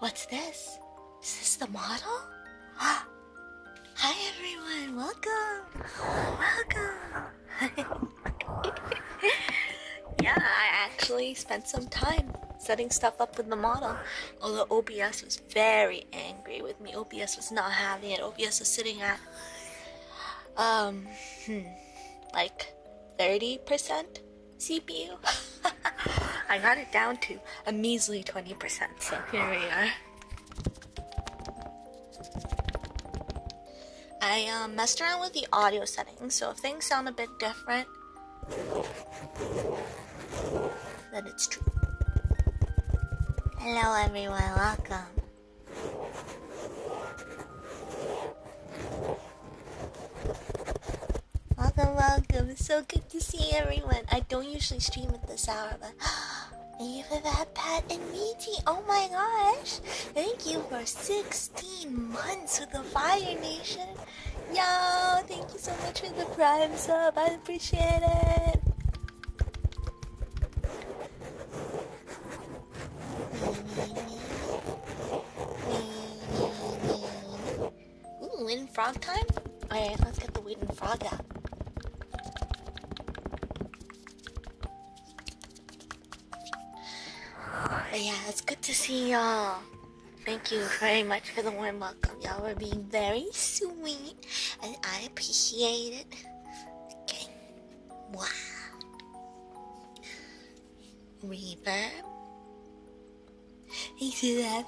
What's this? Is this the model? Hi everyone, welcome! Welcome! yeah, I actually spent some time setting stuff up with the model. Although OBS was very angry with me. OBS was not having it. OBS was sitting at um hmm, like 30%. CPU. I got it down to a measly 20%, so here we are. I um, messed around with the audio settings, so if things sound a bit different, then it's true. Hello, everyone, welcome. Welcome, welcome. so good to see everyone. I don't usually stream at this hour, but thank you for that, Pat and Meaty. Oh my gosh. Thank you for 16 months with the Fire Nation. Yo, thank you so much for the prime sub. I appreciate it. Ooh, frog time? Oh, Alright, let's get the wooden frog out. yeah, it's good to see y'all. Thank you very much for the warm welcome. Y'all were being very sweet and I appreciate it. Okay. Wow reverb into that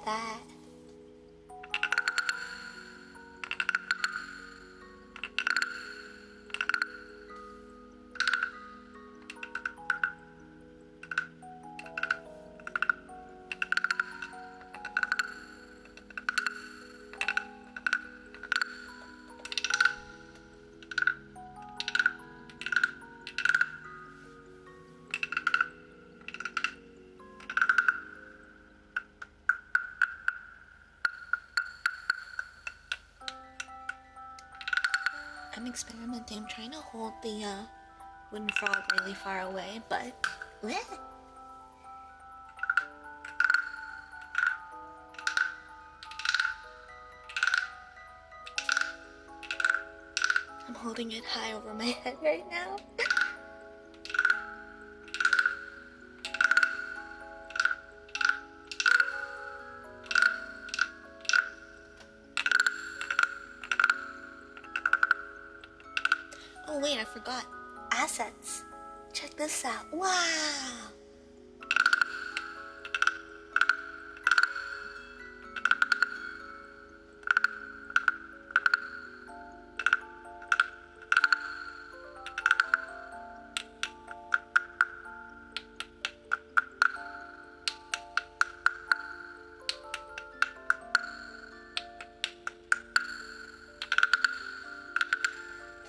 I'm experimenting. I'm trying to hold the uh, wooden frog really far away, but. I'm holding it high over my head right now. oh wait, I forgot. Assets. Check this out. Wow!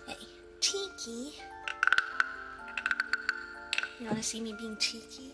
Hey, cheeky. You want to see me being cheeky?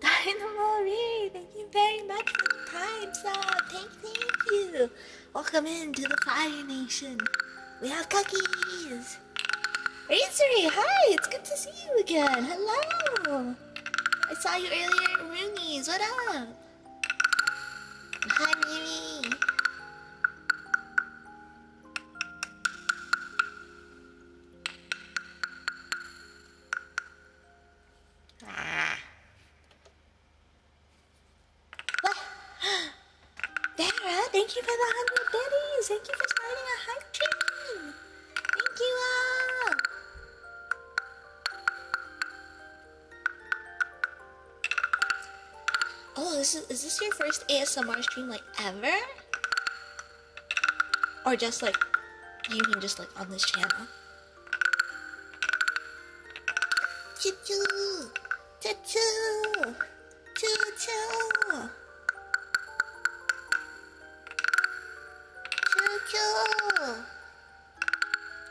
Dynamo Reed, thank you very much for the time sub. Thank, you. Welcome into the Fire Nation. We have cookies. Razory, hi, it's good to see you again. Hello. I saw you earlier at Rooney's. What up? Hi, Mimi. Ah. Thank you for the 100 biddies. Thank you for starting a hype train. Thank you all. Oh, is, is this your first ASMR stream like ever? Or just like, you can just like on this channel. Choo-choo! Choo-choo! Choo-choo! Choo-choo!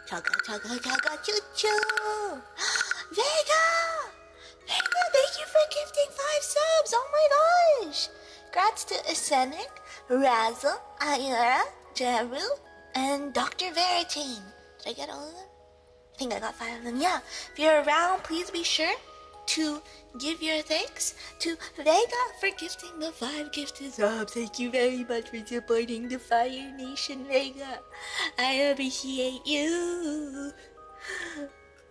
Chugga, chugga, chugga, choo-choo! Vega! Vega, thank you for gifting five subs! Oh my gosh! Grats to Asenic, Razzle, Ayara, Jeru, and Dr. Veritane. Did I get all of them? I think I got five of them. Yeah. If you're around, please be sure to give your thanks to Vega for gifting the five gifted subs. Thank you very much for supporting the Fire Nation, Vega. I appreciate you.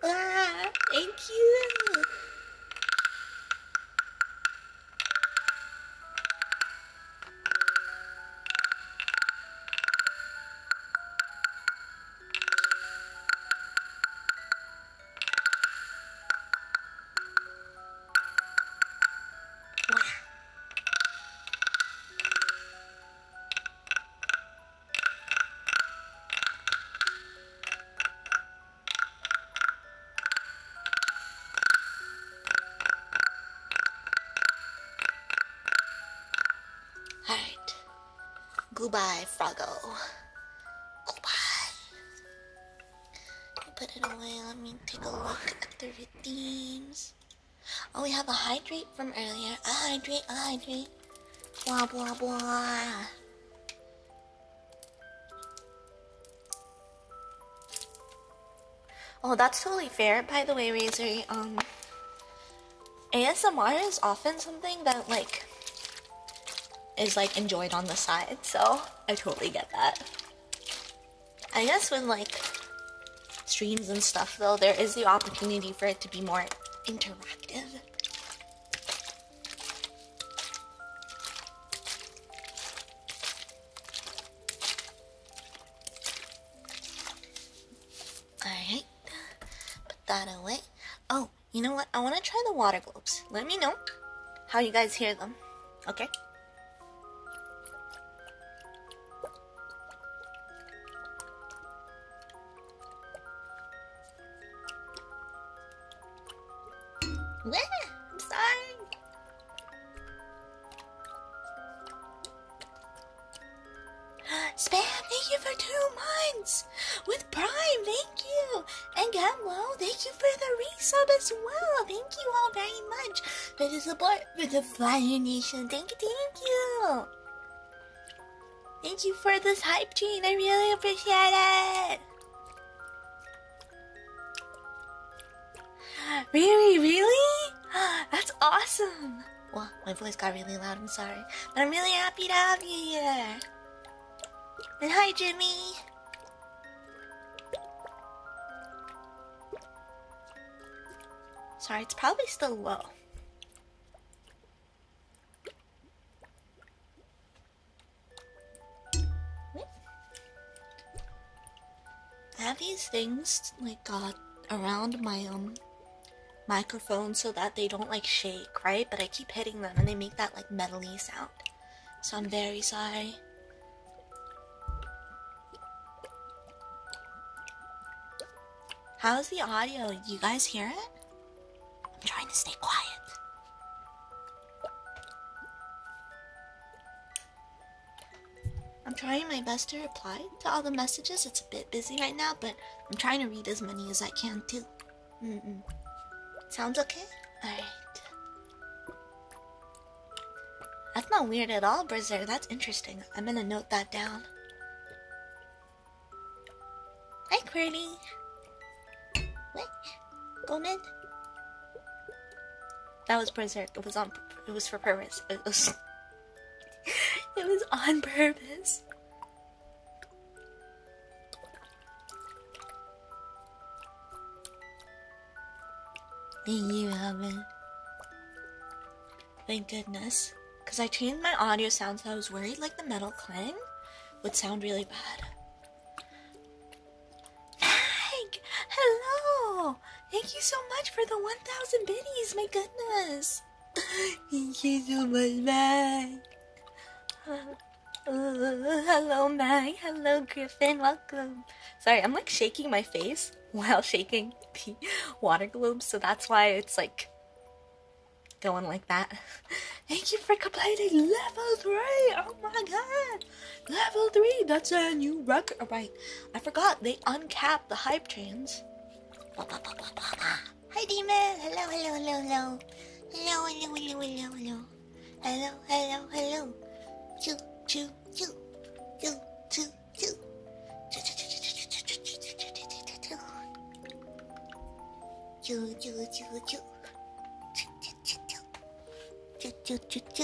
Ah, thank you. Alright. Goodbye, Froggo. Goodbye. I put it away. Let me take a look at the redeems. Oh, we have a hydrate from earlier. A hydrate, a hydrate. Blah, blah, blah. Oh, that's totally fair. By the way, Razor, um, ASMR is often something that like is like enjoyed on the side, so I totally get that. I guess when like streams and stuff though, there is the opportunity for it to be more interactive. Alright, put that away. Oh, you know what? I want to try the water globes. Let me know how you guys hear them, okay? Bleh, I'm sorry. Spam, thank you for two months. With Prime, thank you. And Gamlo, thank you for the resub as well. Thank you all very much for the support for the Fire Nation. Thank you, thank you. Thank you for this hype Gene. I really appreciate it. Really? Really? That's awesome! Well, my voice got really loud, I'm sorry. But I'm really happy to have you here. And hi, Jimmy! Sorry, it's probably still low. I have these things like around my um microphone so that they don't like shake, right? But I keep hitting them and they make that like metally sound. So I'm very sorry. How's the audio? You guys hear it? I'm trying to stay quiet. I'm trying my best to reply to all the messages. It's a bit busy right now, but I'm trying to read as many as I can too. Mm Sounds okay? Alright. That's not weird at all, Berserk. That's interesting. I'm gonna note that down. Hi, Quirty. What? Goldman? That was berserk. It was on. It was for purpose. It was. it was on purpose. Thank you, Alvin. Thank goodness. Because I changed my audio sound so I was worried like the metal clang would sound really bad. Nag! Hello! Thank you so much for the 1,000 biddies, my goodness! you do, my Mag! hello, Mag. Hello, Griffin. Welcome. Sorry, I'm like shaking my face while shaking the water globe, so that's why it's like going like that. Thank you for completing level 3! Oh my god! Level 3! That's a new record! Oh, right, I forgot they uncapped the hype trains. Hi Demon! Hello, hello, hello, hello. Hello, hello, hello, hello, hello. Hello, hello, hello. Choo, choo, choo. Choo, choo, choo. Choo, choo, choo, choo. It's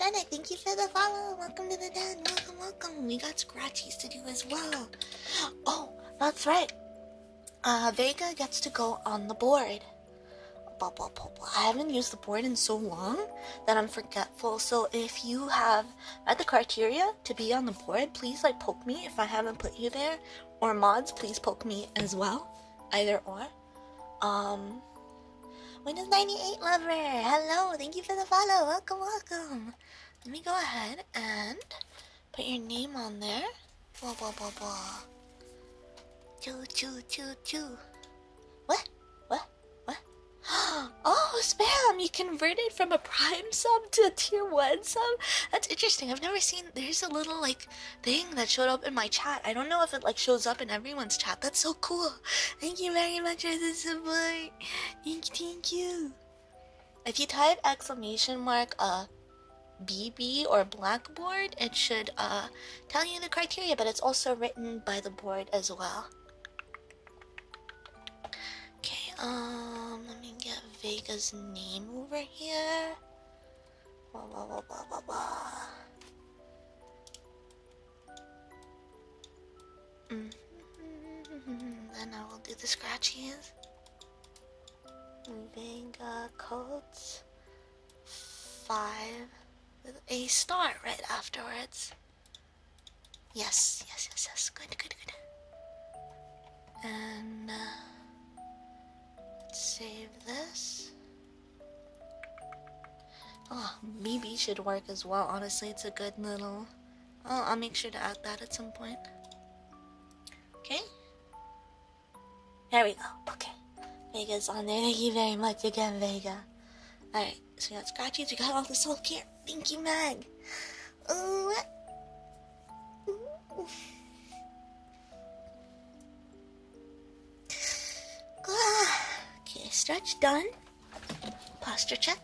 Rennet, thank you for the follow. Welcome to the den. Welcome, welcome. We got scratchies to do as well. Oh, that's right. Uh, Vega gets to go on the board. Blah, blah, blah, blah. I haven't used the board in so long that I'm forgetful. So if you have met the criteria to be on the board, please like poke me if I haven't put you there or mods, please poke me as well. Either or. Um Windows 98 lover, hello, thank you for the follow. Welcome, welcome. Let me go ahead and put your name on there. Blah blah blah blah. Choo choo choo choo. What? What? What? Oh, spam! You converted from a prime sub to a tier one sub. That's interesting. I've never seen there's a little like thing that showed up in my chat. I don't know if it like shows up in everyone's chat. That's so cool. Thank you very much for the support. Thank, thank you. If you type exclamation mark a uh, BB or Blackboard, it should uh tell you the criteria, but it's also written by the board as well. Okay, um, let me get Vega's name over here. Blah, blah, blah, blah, blah, blah. Mm. Then I will do the scratchies. Moving uh, Colts Five. With a star right afterwards. Yes, yes, yes, yes. Good, good, good. And. Uh, Save this. Oh, maybe should work as well. Honestly, it's a good little. Oh, I'll make sure to add that at some point. Okay. There we go. Okay. Vega's on there. Thank you very much again, Vega. Alright, so we got scratchies. We got all this whole care. Thank you, Meg. Ooh. okay, stretch done. Posture check.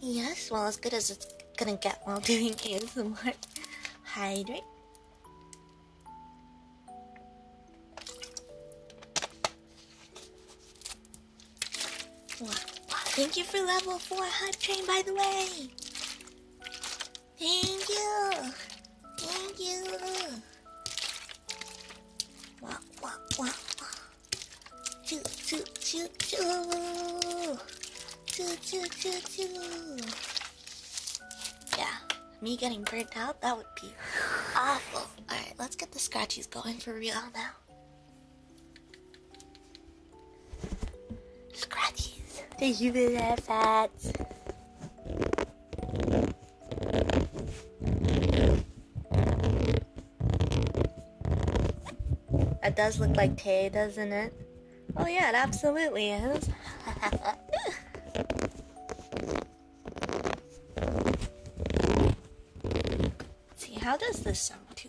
Yes, well, as good as it's gonna get while doing ASMR. Hydrate. Thank you for level 4 HUD train, by the way. Thank you. Thank you. Wah, wah, wah, wah. Choo, choo, Yeah, me getting burnt out, that would be awful. Alright, let's get the scratchies going for real now. Scratchies. Thank you for that, fats. It does look like Tay, doesn't it? Oh yeah, it absolutely is. see, how does this sound too?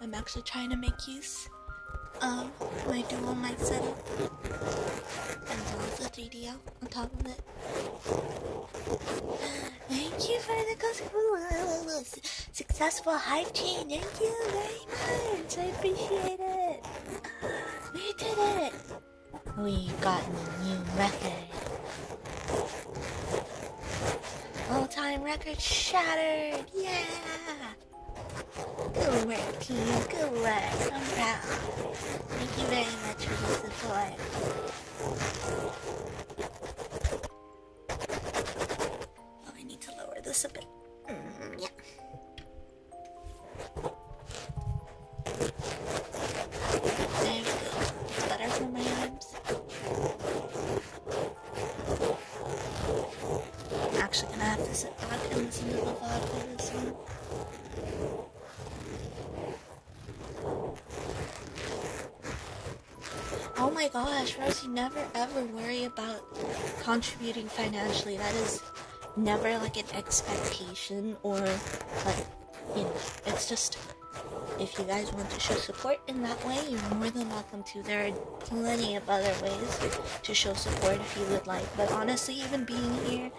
I'm actually trying to make use of my dual mic setup and also 3DL on top of it. Thank you for the successful hype chain. Thank you very much. I appreciate it. We did it. We've gotten a new record. All time record shattered! Yeah! Good work, team. Good work. I'm proud. Thank you very much for this support. Oh, I need to lower this a bit. Mm, yeah. There we Better for my arms. I'm actually gonna have to sit back and listen to the vlog for this one. Oh my gosh, Rosie, never ever worry about contributing financially. That is never like an expectation or like you know it's just if you guys want to show support in that way you're more than welcome to there are plenty of other ways to show support if you would like but honestly even being here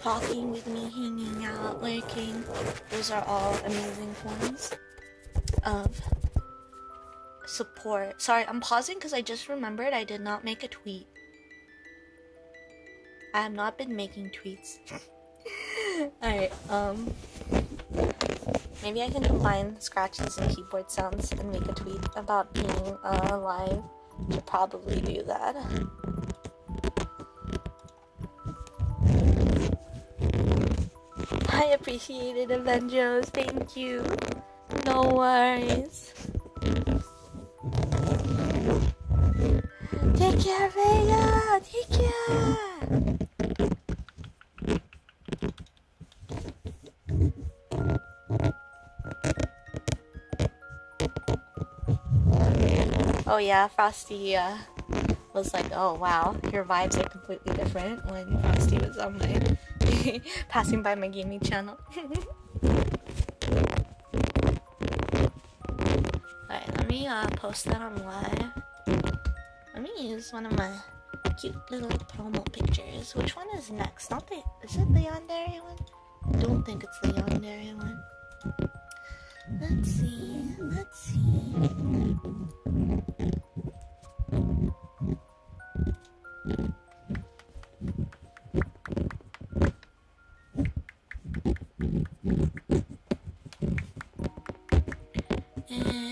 talking with me hanging out lurking those are all amazing forms of support sorry i'm pausing because i just remembered i did not make a tweet I have not been making tweets. Alright, um. Maybe I can combine scratches and keyboard sounds and make a tweet about being uh, alive. Should probably do that. I appreciate it, Avengers. Thank you. No worries. Take care, Vega! Take care! Oh yeah, Frosty uh, was like, oh wow, your vibes are completely different when Frosty was on my passing by my gaming channel. Alright, let me uh, post that on live. Let me use one of my cute little promo pictures. Which one is next? Not the is it the Yandere one? I don't think it's the Yandere one. Let's see, let's see. And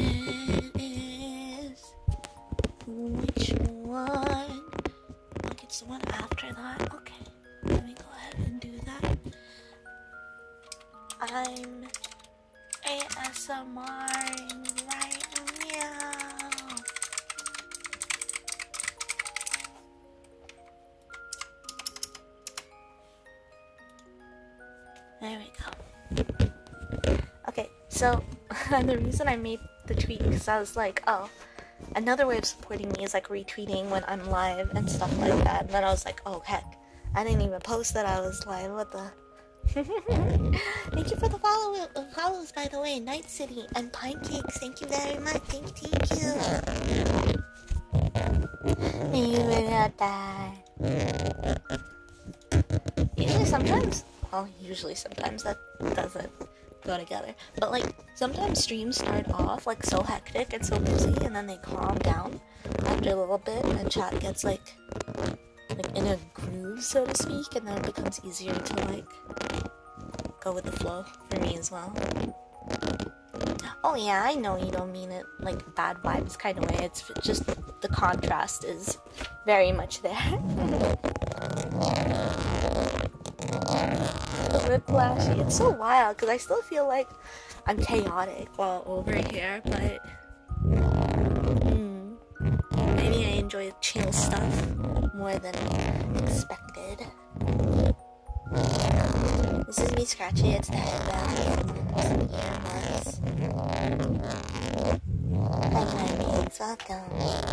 which one? I get the one after that. Okay, let me go ahead and do that. I'm ASMR right now. There we go. Okay, so the reason I made the tweet because I was like, oh, another way of supporting me is like retweeting when I'm live and stuff like that. And then I was like, oh heck, I didn't even post that I was like, What the? thank you for the follow follows, by the way. Night City and Pinecakes. Thank you very much. Thank you. You will not die. Usually sometimes, well, usually sometimes that doesn't go together. But like, sometimes streams start off like so hectic and so busy and then they calm down after a little bit and chat gets like, like in a groove, so to speak, and then it becomes easier to like go with the flow for me as well. Oh yeah, I know you don't mean it like bad vibes kind of way. It's just the contrast is very much there. Whiplashy. It's so wild because I still feel like I'm chaotic while over here, but hmm, maybe I enjoy chill stuff more than expected. This is me scratching It's the head valve. Ear marks. That kind of means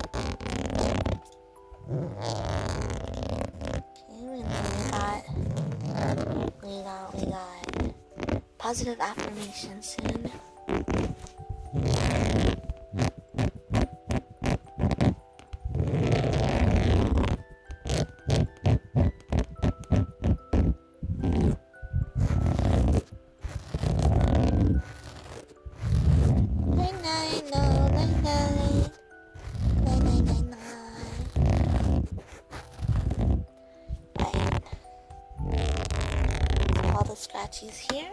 welcome. we got, we got, we got positive affirmation soon all the scratches here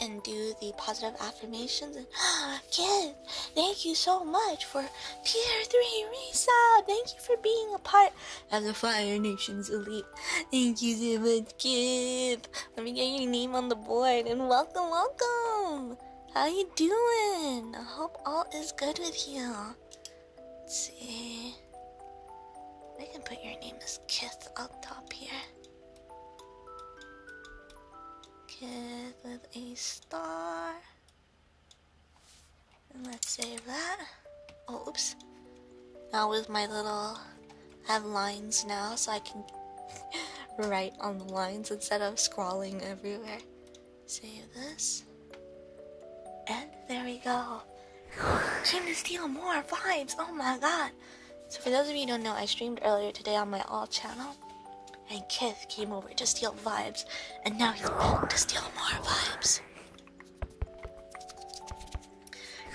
and do the positive affirmations Again, thank you so much for Tier 3 Risa. Thank you for being a part of the Fire Nation's Elite. Thank you so much, Kip. Let me get your name on the board and welcome, welcome. How you doing? I hope all is good with you. Let's see. I can put your name as Kith up top here. Kith with a star let's save that. Oh, oops. Now with my little, I have lines now, so I can write on the lines instead of scrawling everywhere. Save this. And there we go. Stream to steal more vibes. Oh my god. So for those of you who don't know, I streamed earlier today on my all channel and Kith came over to steal vibes, and now he's back to steal more vibes.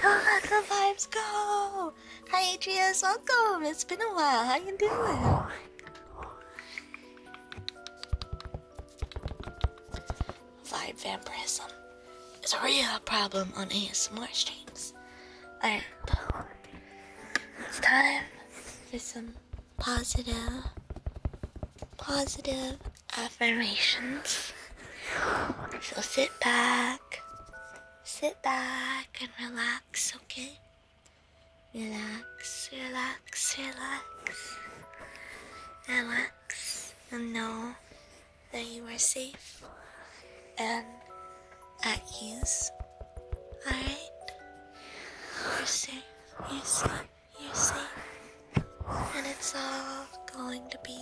Go, Kaka vibes, go! Hi, Adrias, welcome. It's been a while. How you doing? Vibe vampirism is a real problem on ASMR streams. Alright, it's time for some positive, positive affirmations. So sit back, sit back and relax, okay? Relax, relax, relax. Relax and know that you are safe and at ease. Alright? You're safe you sleep, you sleep, and it's all going to be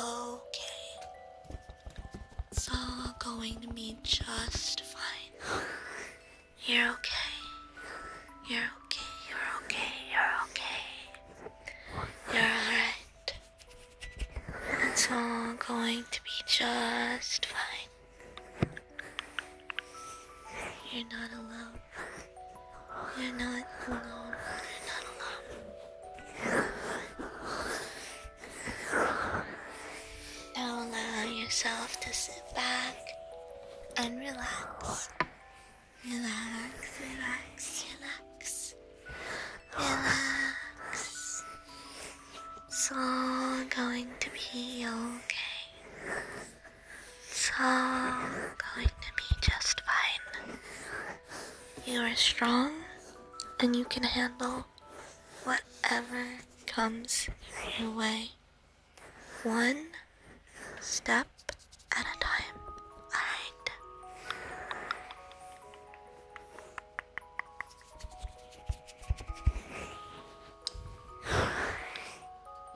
okay. It's all going to be just fine. You're okay. You're okay. You're okay. You're okay. You're alright. It's all going to be just fine. You're not alone. You're not alone. You're not alone. Now allow yourself to sit back and relax. Relax, relax, relax. Relax. It's all going to be okay so going to be just fine. You are strong and you can handle whatever comes your way. One step at a time. Alright.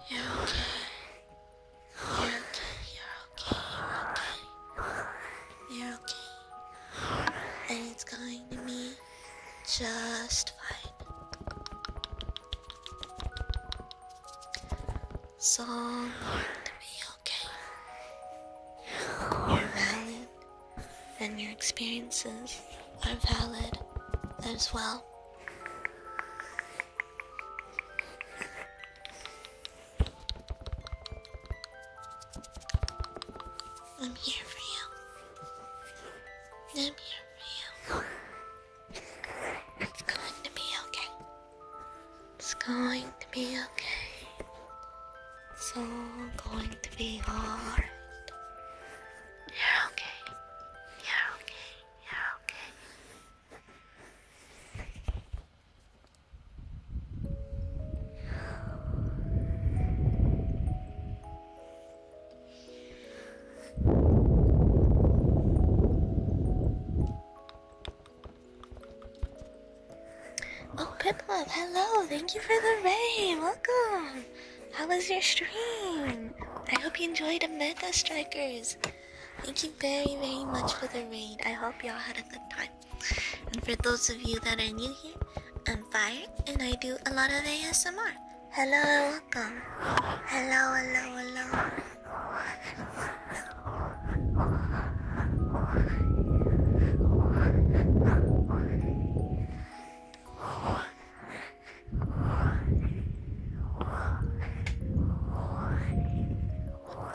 You're okay. And it's going to be just fine. So going to be okay. You're valid, and your experiences are valid as well. I'm here for you. I'm here for you. It's going to be okay. It's going to be okay. It's all going to be alright. You're okay. You're okay. Yeah, okay. Oh, Piplop, hello! Thank you for the rain! Welcome! How was your stream? I hope you enjoyed the Mega Strikers. Thank you very, very much for the raid. I hope y'all had a good time. And for those of you that are new here, I'm Fire and I do a lot of ASMR. Hello, welcome. Hello, hello, hello.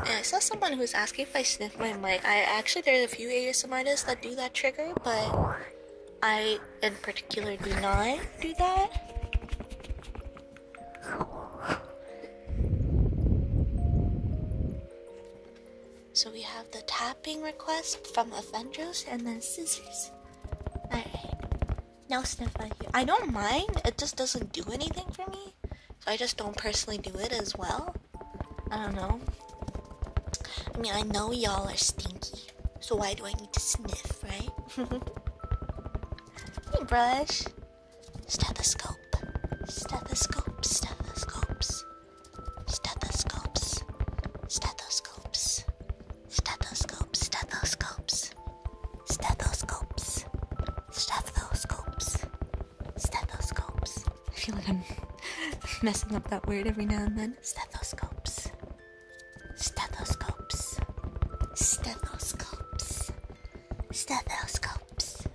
I saw someone who was asking if I sniff my mic. I actually there's a few ASM artists that do that trigger, but I in particular do not do that. So we have the tapping request from Avengers and then Scissors. Alright. No sniff I don't mind. It just doesn't do anything for me. So I just don't personally do it as well. I don't know. I mean, I know y'all are stinky. So why do I need to sniff, right? hey, brush. Stethoscope. Stethoscope. Stethoscopes. Stethoscopes. Stethoscopes. Stethoscopes, stethoscopes, stethoscopes, stethoscopes, stethoscopes. I feel like I'm messing up that word every now and then. Stethoscopes, stethoscopes, stethoscopes, stethoscopes, stethoscopes.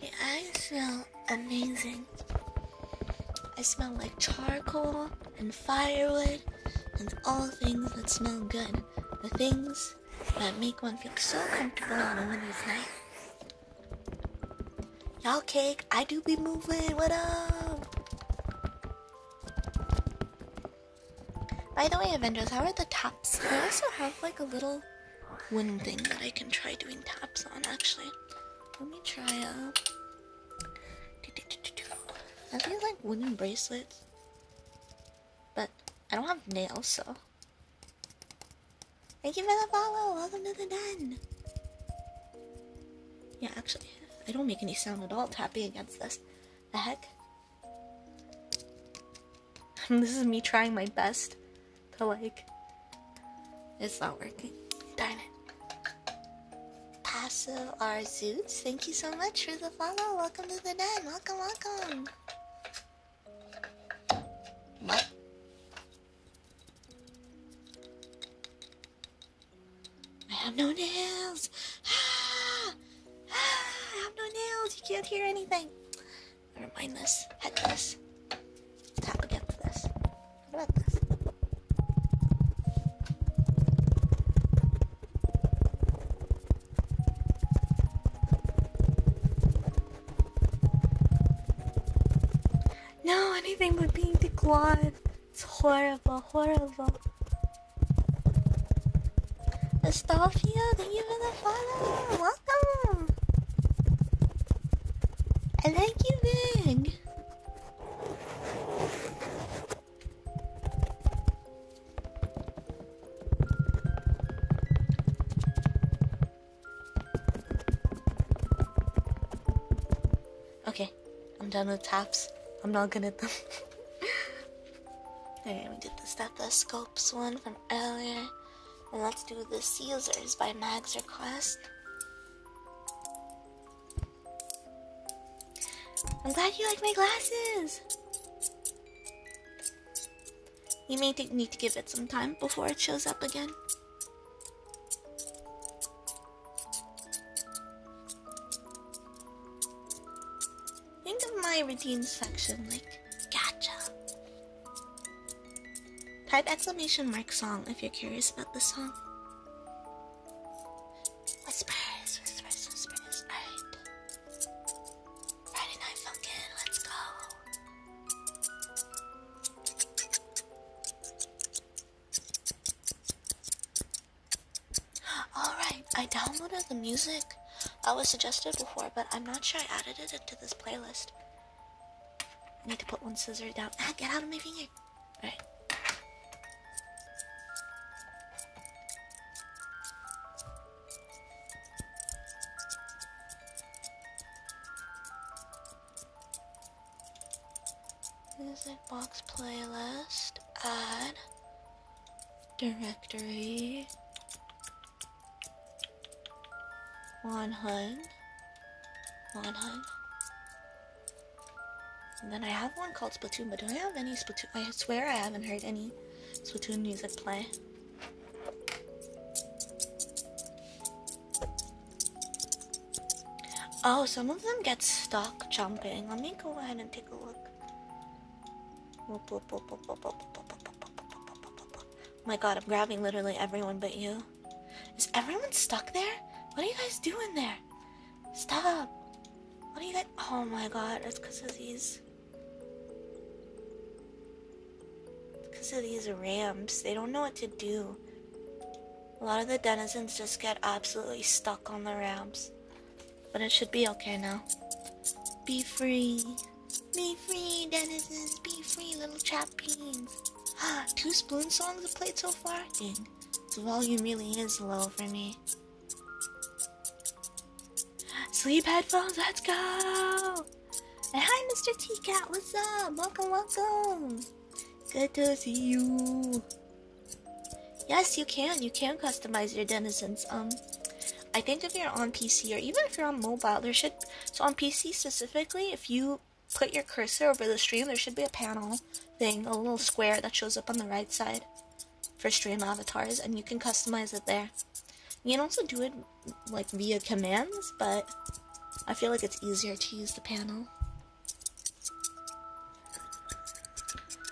My eyes smell amazing. I smell like charcoal and firewood and all things that smell good. The things that make one feel so comfortable on a winter's night. Y'all cake, I do be moving. What up? By the way, Avengers, how are the tops? They also have like a little one thing that I can try doing taps on, actually. Let me try, uh... I feel like wooden bracelets. But I don't have nails, so... Thank you for the follow! Welcome to the den! Yeah, actually, I don't make any sound at all tapping against this. The heck? this is me trying my best to like. It's not working. Darn it. Passive R Zoots. thank you so much for the follow. Welcome to the den. Welcome, welcome. What? I have no nails. Ah! Ah, I have no nails. You can't hear anything. Never mind this. Head this. Tap against this. What about this? No, anything but being declawed. It's horrible, horrible. Astolfio, thank you for the follow! Welcome! I like you, bag. Okay, I'm done with taps. I'm not good at them. Alright, we did the stethoscopes one from earlier. And let's do the Caesars by Mag's request. I'm glad you like my glasses. You may need to give it some time before it shows up again. Think of my routine section like gacha. Type exclamation mark song if you're curious about the song. Whispers, Alright. Friday Night Funkin', let's go. Alright, I downloaded the music I was suggested before, but I'm not sure I added it into this playlist. I need to put one scissor down. Ah, get out of my finger. Alright. Music box playlist. Add. Directory. One hood. Monheim. And then I have one called Splatoon, but do I have any Splatoon? I swear I haven't heard any Splatoon music play. Oh, some of them get stuck jumping. Let me go ahead and take a look. my god, I'm grabbing literally everyone but you. Is everyone stuck there? What are you guys doing there? Stop. What are you guys? Oh my god, it's because of these. Because of these ramps, they don't know what to do. A lot of the denizens just get absolutely stuck on the ramps. But it should be okay now. Be free. Be free, denizens. Be free, little chap fat beans. Two spoon songs have played so far? Dang, the volume really is low for me. Sleep headphones, let's go! hi, Mr. T Cat, what's up? Welcome, welcome! Good to see you. Yes, you can. You can customize your denizens. Um, I think if you're on PC or even if you're on mobile, there should so on PC specifically, if you put your cursor over the stream, there should be a panel thing, a little square that shows up on the right side for stream avatars, and you can customize it there. You can also do it like via commands, but I feel like it's easier to use the panel.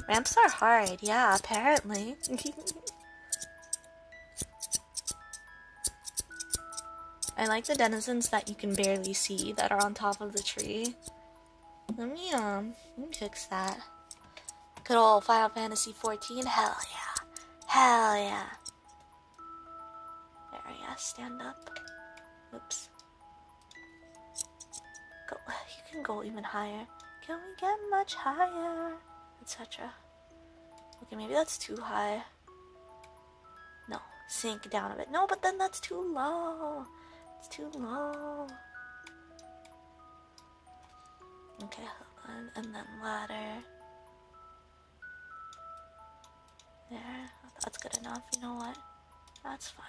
Ramps are hard, yeah, apparently. I like the denizens that you can barely see that are on top of the tree. Let me, um, fix that. Good old Final Fantasy 14. hell yeah. Hell yeah. There, yeah, stand up. Oops. Go, you can go even higher. Can we get much higher? Etc. Okay, maybe that's too high. No, sink down a bit. No, but then that's too low. It's too low. Okay, hold on. And then ladder. There. That's good enough. You know what? That's fine.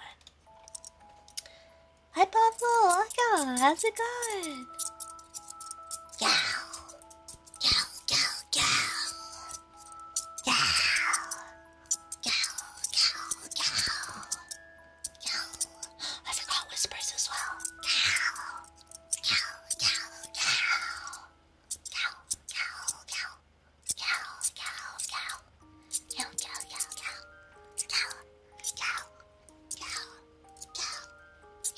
Hi, Pablo. Welcome. How's it going? Yeah. Yow, yow, yow. Yow. Cow, cow, cow. Cow. I forgot whispers as well. Cow. Cow, cow, cow. Cow, cow, cow. Cow, cow, cow. Cow, cow, cow, cow. Cow, cow, cow. Cow, cow,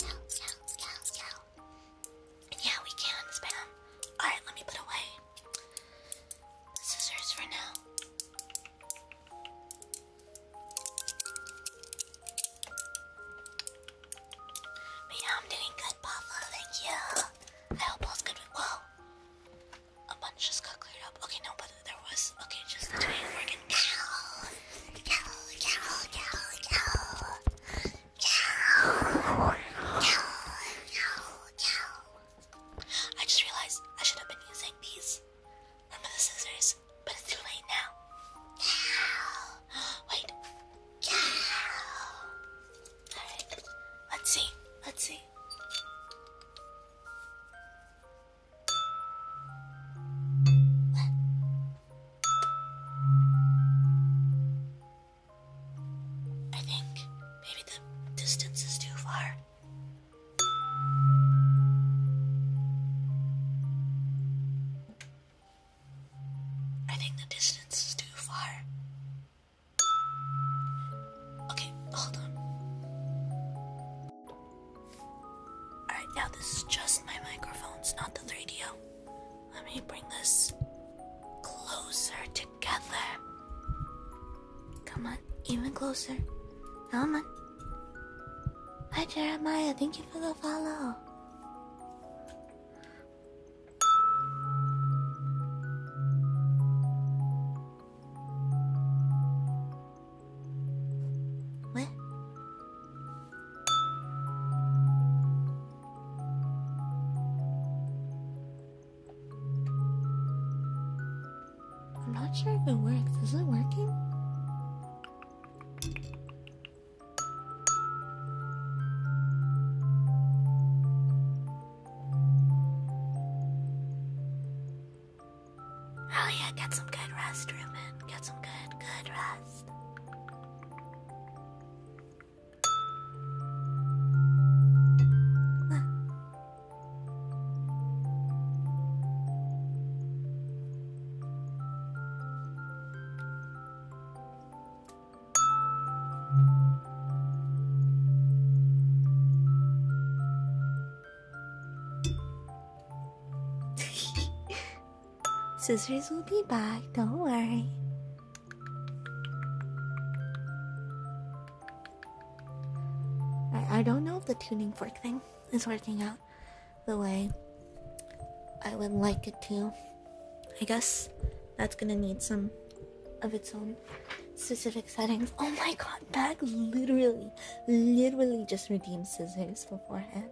cow, cow, cow. Yeah, we can spam. Alright, let me put away scissors for now. But yeah, I'm doing good, Papa. Thank you. I hope all's good. Whoa! A bunch just got cleared up. Okay, no, but there was. Okay, just the cow. Cow, cow, cow, cow. Cow. Cow, cow, cow. I just realized I should have been using these. Remember um, the scissors? But it's too late now. Wait. Let's see. Let's see. I think maybe the distance is too far. I think the distance is too far. Okay, hold on. Alright, now this is just my microphones, not the 3DO. Let me bring this closer to together. Come on, even closer. Come on. Hi, Jeremiah. Thank you for the follow. What? I'm not sure if it works. Is it working? Oh get some good rest, Ruben. Get some good, good rest. Scissors will be back, don't worry. I, don't know if the tuning fork thing is working out the way I would like it to. I guess that's gonna need some of its own specific settings. Oh my god, Bag literally, literally just redeemed scissors beforehand.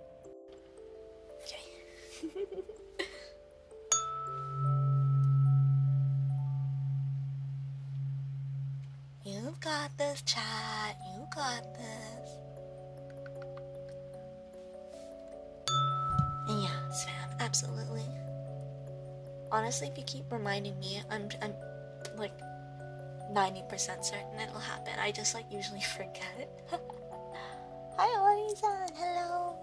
Okay. You've got this, chat. You got this. yeah, spam, absolutely. Honestly, if you keep reminding me, I'm, I'm like 90% certain it'll happen. I just like usually forget it. Hi, Orisan. Hello.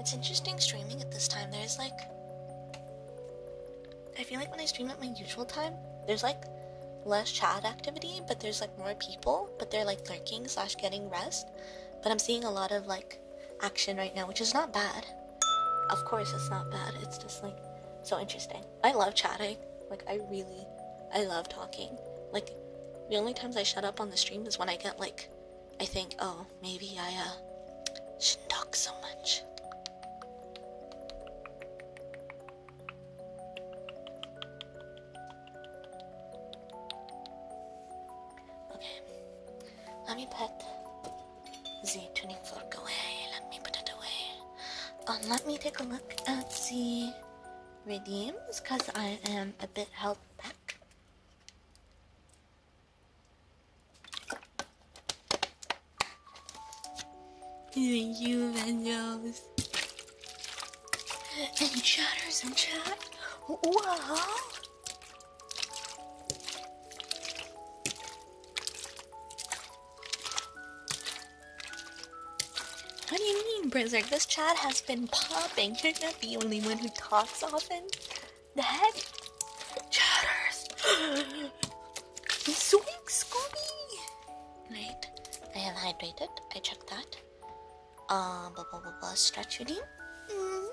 It's interesting streaming at this time. There's like. I feel like when I stream at my usual time, there's like less chat activity, but there's like more people, but they're like lurking slash getting rest. But I'm seeing a lot of like action right now, which is not bad. Of course, it's not bad. It's just like so interesting. I love chatting. Like I really, I love talking. Like the only times I shut up on the stream is when I get like, I think, oh, maybe I uh, shouldn't talk so much. Okay, let me put the tuning fork away. Let me put it away. Um, let me take a look at the redeems because I am a bit held back. Thank you, Mendos. And chatters and chat. Wow. What do you mean, Blizzard? This chat has been popping. You're not the only one who talks often. The heck? Chatters! Zoink, Scooby! Right. I am hydrated. I checked that. Uh, blah blah blah blah. Stretch your mm.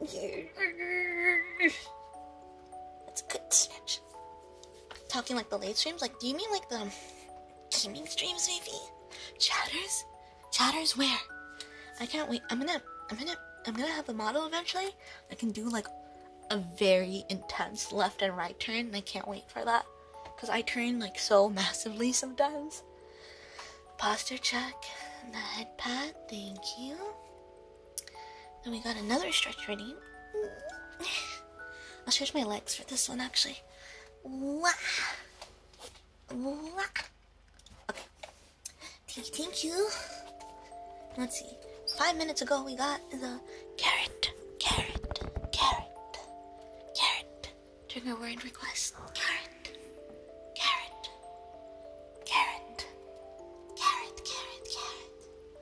That's good Talking like the late streams? Like, do you mean like the gaming streams, maybe? Chatters? Chatters where? I can't wait. I'm gonna, I'm gonna, I'm gonna have a model eventually. I can do like a very intense left and right turn, and I can't wait for that. Cause I turn like so massively sometimes. Posture check, the head pat. Thank you. Then we got another stretch training. I'll stretch my legs for this one actually. Okay. Thank Let's see. Five minutes ago we got the carrot, carrot, carrot, carrot. Trigger word request. Carrot, carrot, carrot, carrot, carrot, carrot.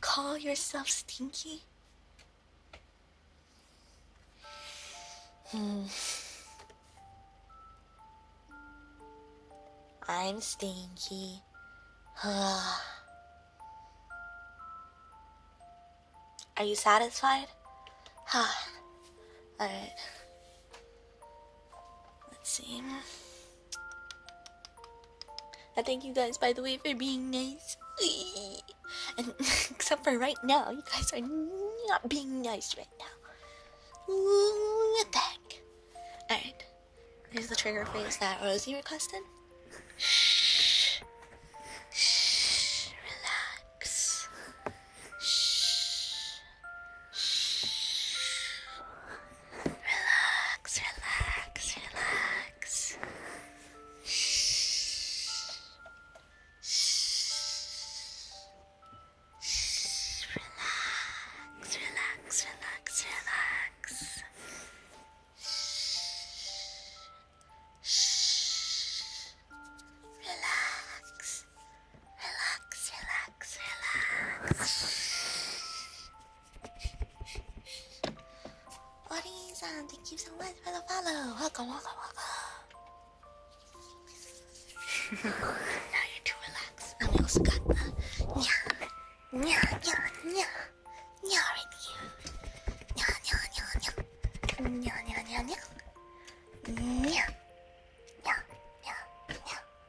call yourself stinky? Hmm. I'm stinky. Are you satisfied? Alright. Let's see. I thank you guys, by the way, for being nice. except for right now, you guys are not being nice right now. What the heck? Alright, here's the trigger phrase that Rosie requested. Shh. Shh. Relax. Shh. Shh. Relax, relax, relax. Shh. Shh. Shh. Relax, relax, relax, relax. Shh. Shh. Relax. Relax, relax, relax. What is san thank you so much for the follow. Welcome, welcome, welcome. now you're too relaxed. And we also got the nya, nya, nya, nya, nya right here. Nya, nya, nya, nya, nya, nya, nya, nya, nya, nya,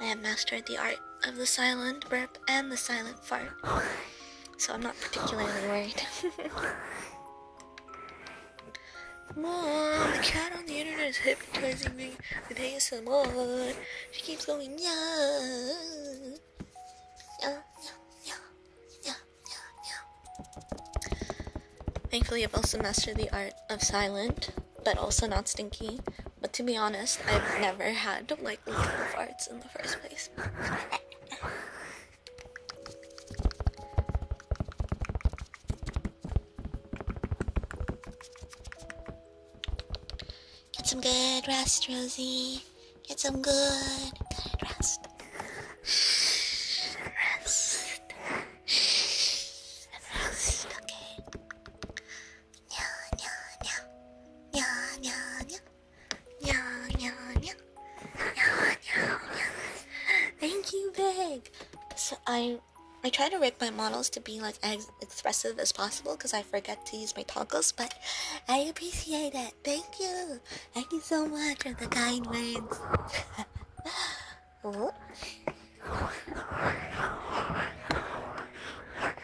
I have mastered the art of the silent burp and the silent fart, so I'm not particularly worried. Mom, the cat on the internet is hypnotizing me with ASMR. She keeps going, yeah. Yeah, yeah, yeah, yeah, yeah. Thankfully, I've also mastered the art of silent but also not stinky. But to be honest, I've never had like little farts in the first place. Get some good rest, Rosie. Get some good, good rest. Rest. Rest. Okay. Thank you, Big. So I, I try to rig my models to be like as expressive as possible because I forget to use my toggles. But I appreciate it. Thank you. Thank you so much for the kind words. Oh.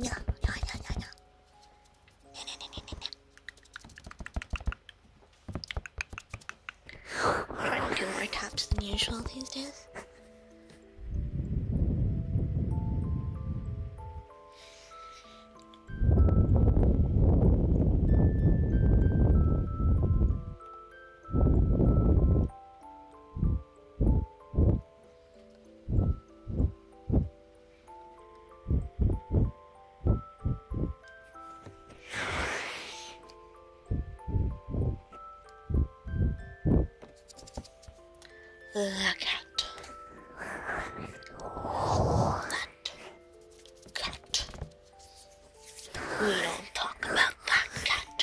Nya, nya, nya, Trying to do more taps than usual these days. Look out. That cat. We do talk about that cat.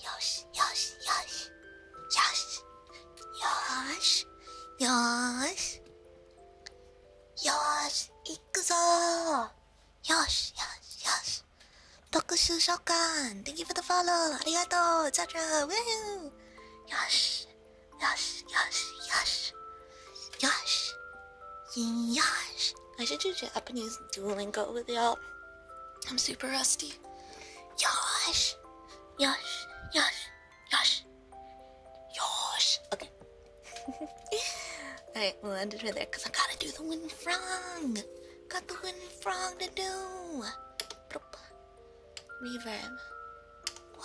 よしよしよしよしよーしよーしよーしいくぞーよしよしよし特殊召喚 Thank you for the follow ありがとうザジャーウェーよしよしよしよしよしよし I should do Japanese Duolingo with y'all I'm super rusty. Yosh! Yosh! Yosh! Yosh! Yosh! Okay. Alright, we'll end it right there because I gotta do the wind frong! Got the wind frong to do! Reverb. Wow.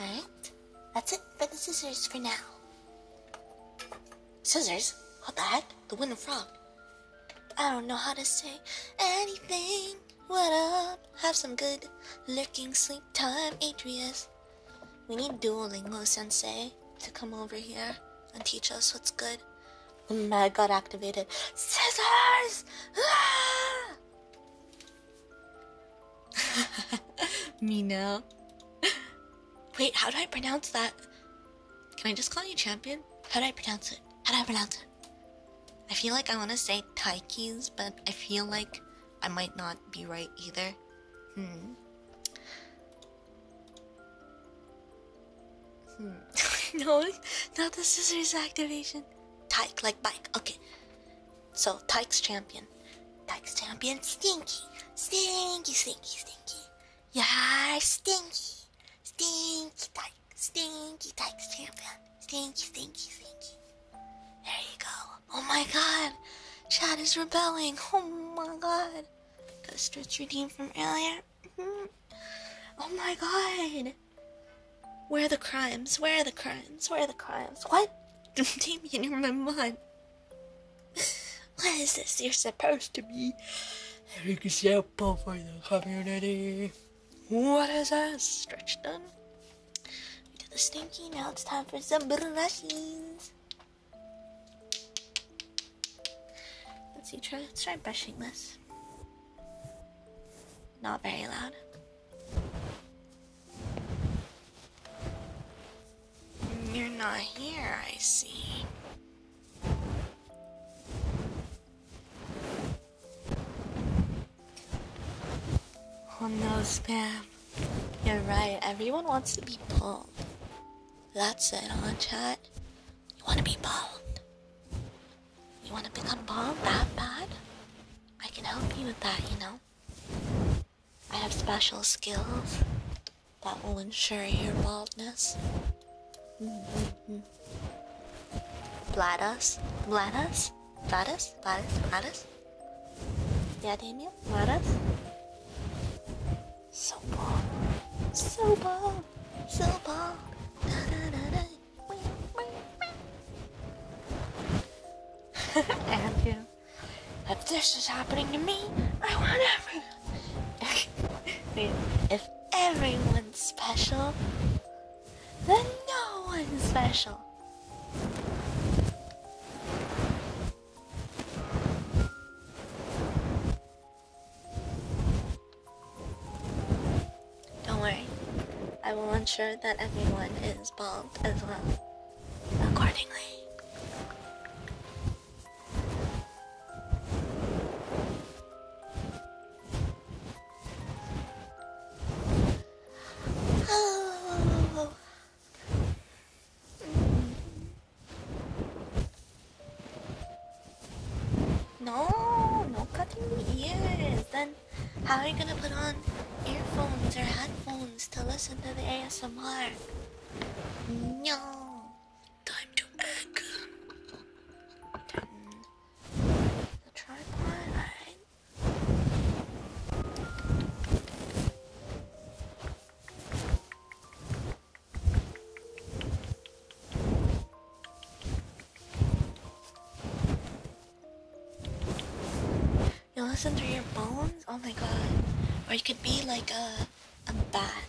Alright, that's it for the scissors for now. Scissors? What the heck? The Winter Frog. I don't know how to say anything. What up? Have some good lurking sleep time, Atreus. We need Duolingo Sensei to come over here and teach us what's good. Oh my god, activated. Scissors! Ah! Mino. Wait, how do I pronounce that? Can I just call you champion? How do I pronounce it? How do I pronounce it? I feel like I want to say Taikis, but I feel like I might not be right either. Hmm. Hmm. no, not the scissors activation. Tyke like bike. Okay. So Tyke's champion. Tyke's champion stinky. Stinky, stinky, stinky. Yeah, stinky. Stinky Tyke. Stinky Tyke's champion. Thank you, thank you, thank you. There you go. Oh my god. Chad is rebelling. Oh my god. Go stretch your team from earlier. Mm-hmm. oh my god. Where are the crimes? Where are the crimes? Where are the crimes? What? Damien, you're my mom. What is this? You're supposed to be an example for the community. What is this? Stretch done? We did the stinky, now it's time for some brushes. Let's see, try, try brushing this. Not very loud. You're not here, I see. Oh no, Spam. You're right, everyone wants to be pulled. That's it, on chat? You wanna be pulled? You wanna become pulled that bad? I can help you with that, you know? I have special skills that will ensure your baldness. Mm -hmm. Varas? Varas? Varas? Yeah, Daniel, Varas? So bomb! So bomb! So bomb! Da da da da! if this is happening to me, I want everyone. if everyone's special, then no one's special. Don't worry, I will ensure that everyone is bald as well, accordingly. Oh. No, no cutting the ears. Then how are you gonna put on earphones or headphones to listen to the ASMR? No. Time to egg. Turn the tripod. Alright. You listen through your bones? Oh my god. Or you could be like a a bat.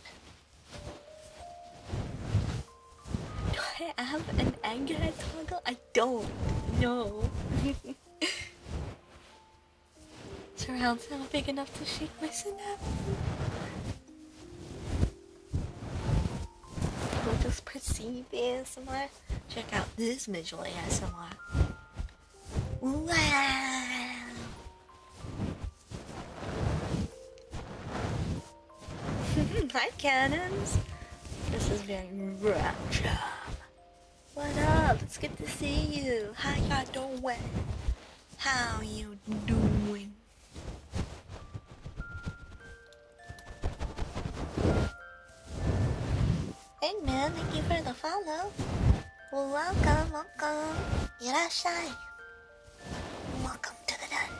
Do I have an anger toggle? I don't know. Surround not big enough to shake my synapse. We'll just proceed ASMR. Check out this visual ASMR. Wow! Hi, cannons! This is being rough what up? It's good to see you. How y'all doing? How you doing? Hey man, thank you for the follow. Welcome, welcome, welcome. Irashai. Welcome to the den.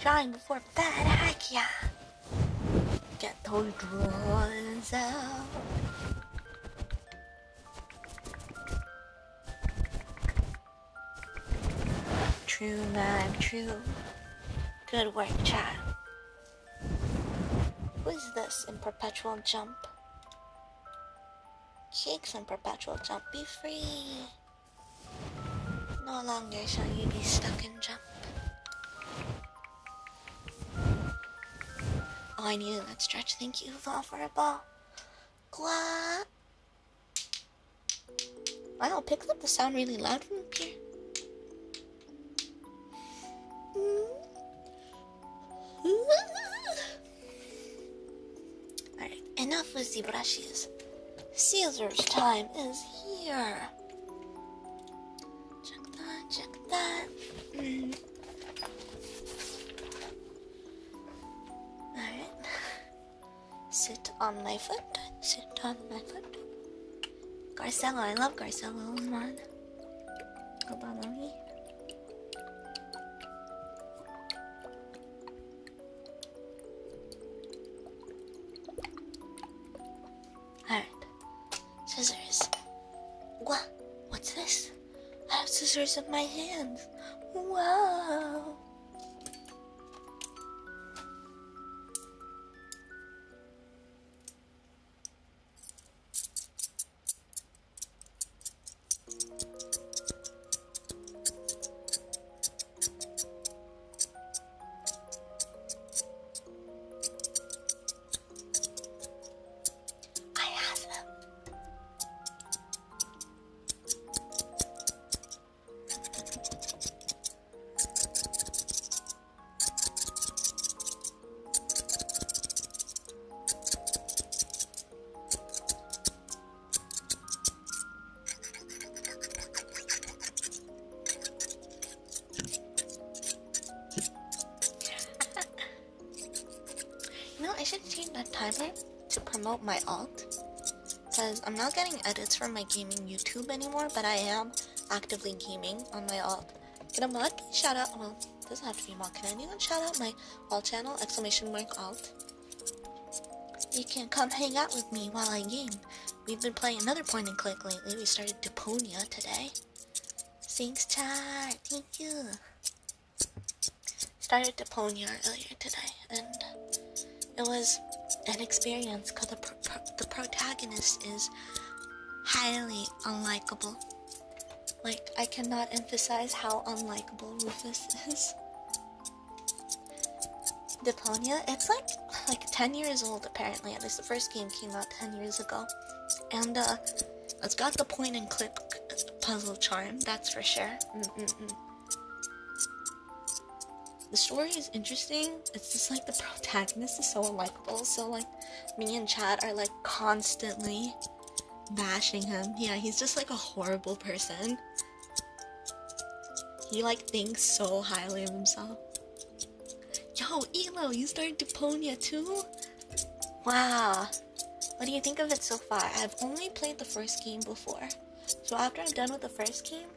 Drawing before bed, heck Get those drawings out. True, man, true. Good work, child. Who is this in perpetual jump? Cakes in perpetual jump, be free! No longer shall you be stuck in jump. Oh, I needed that stretch. Thank you, for a ball. Qua. Wow, pick up the sound really loud from up here. Alright, enough with the brushes. Caesar's time is here. Check that, check that. Mm. Alright. Sit on my foot. Sit on my foot. Garcello, I love Garcello. Hold on. Hold on, let Alright. Scissors. What? What's this? I have scissors in my hands. Wow. I have them. You know, I should change that timer to promote my alt. Because I'm not getting edits from my gaming YouTube anymore, but I am actively gaming on my alt. Can a shout out? Well, it doesn't have to be mod. Can anyone shout out my alt channel? Exclamation mark alt. You can come hang out with me while I game. We've been playing another point and click lately. We started Deponia today. Thanks, chat. Thank you. Started the ponyard earlier today, and it was an experience because the, the protagonist is highly unlikable. Like, I cannot emphasize how unlikable Rufus is. Deponia, it's like like 10 years old apparently, at least the first game came out 10 years ago. And uh it's got the point and click puzzle charm, that's for sure. Mm, mm, mm. The story is interesting. It's just like the protagonist is so unlikable. So like, me and Chad are like constantly bashing him. Yeah, he's just like a horrible person. He like thinks so highly of himself. Yo, Elo, you started Deponia too? Wow, what do you think of it so far? I've only played the first game before. So after I'm done with the first game,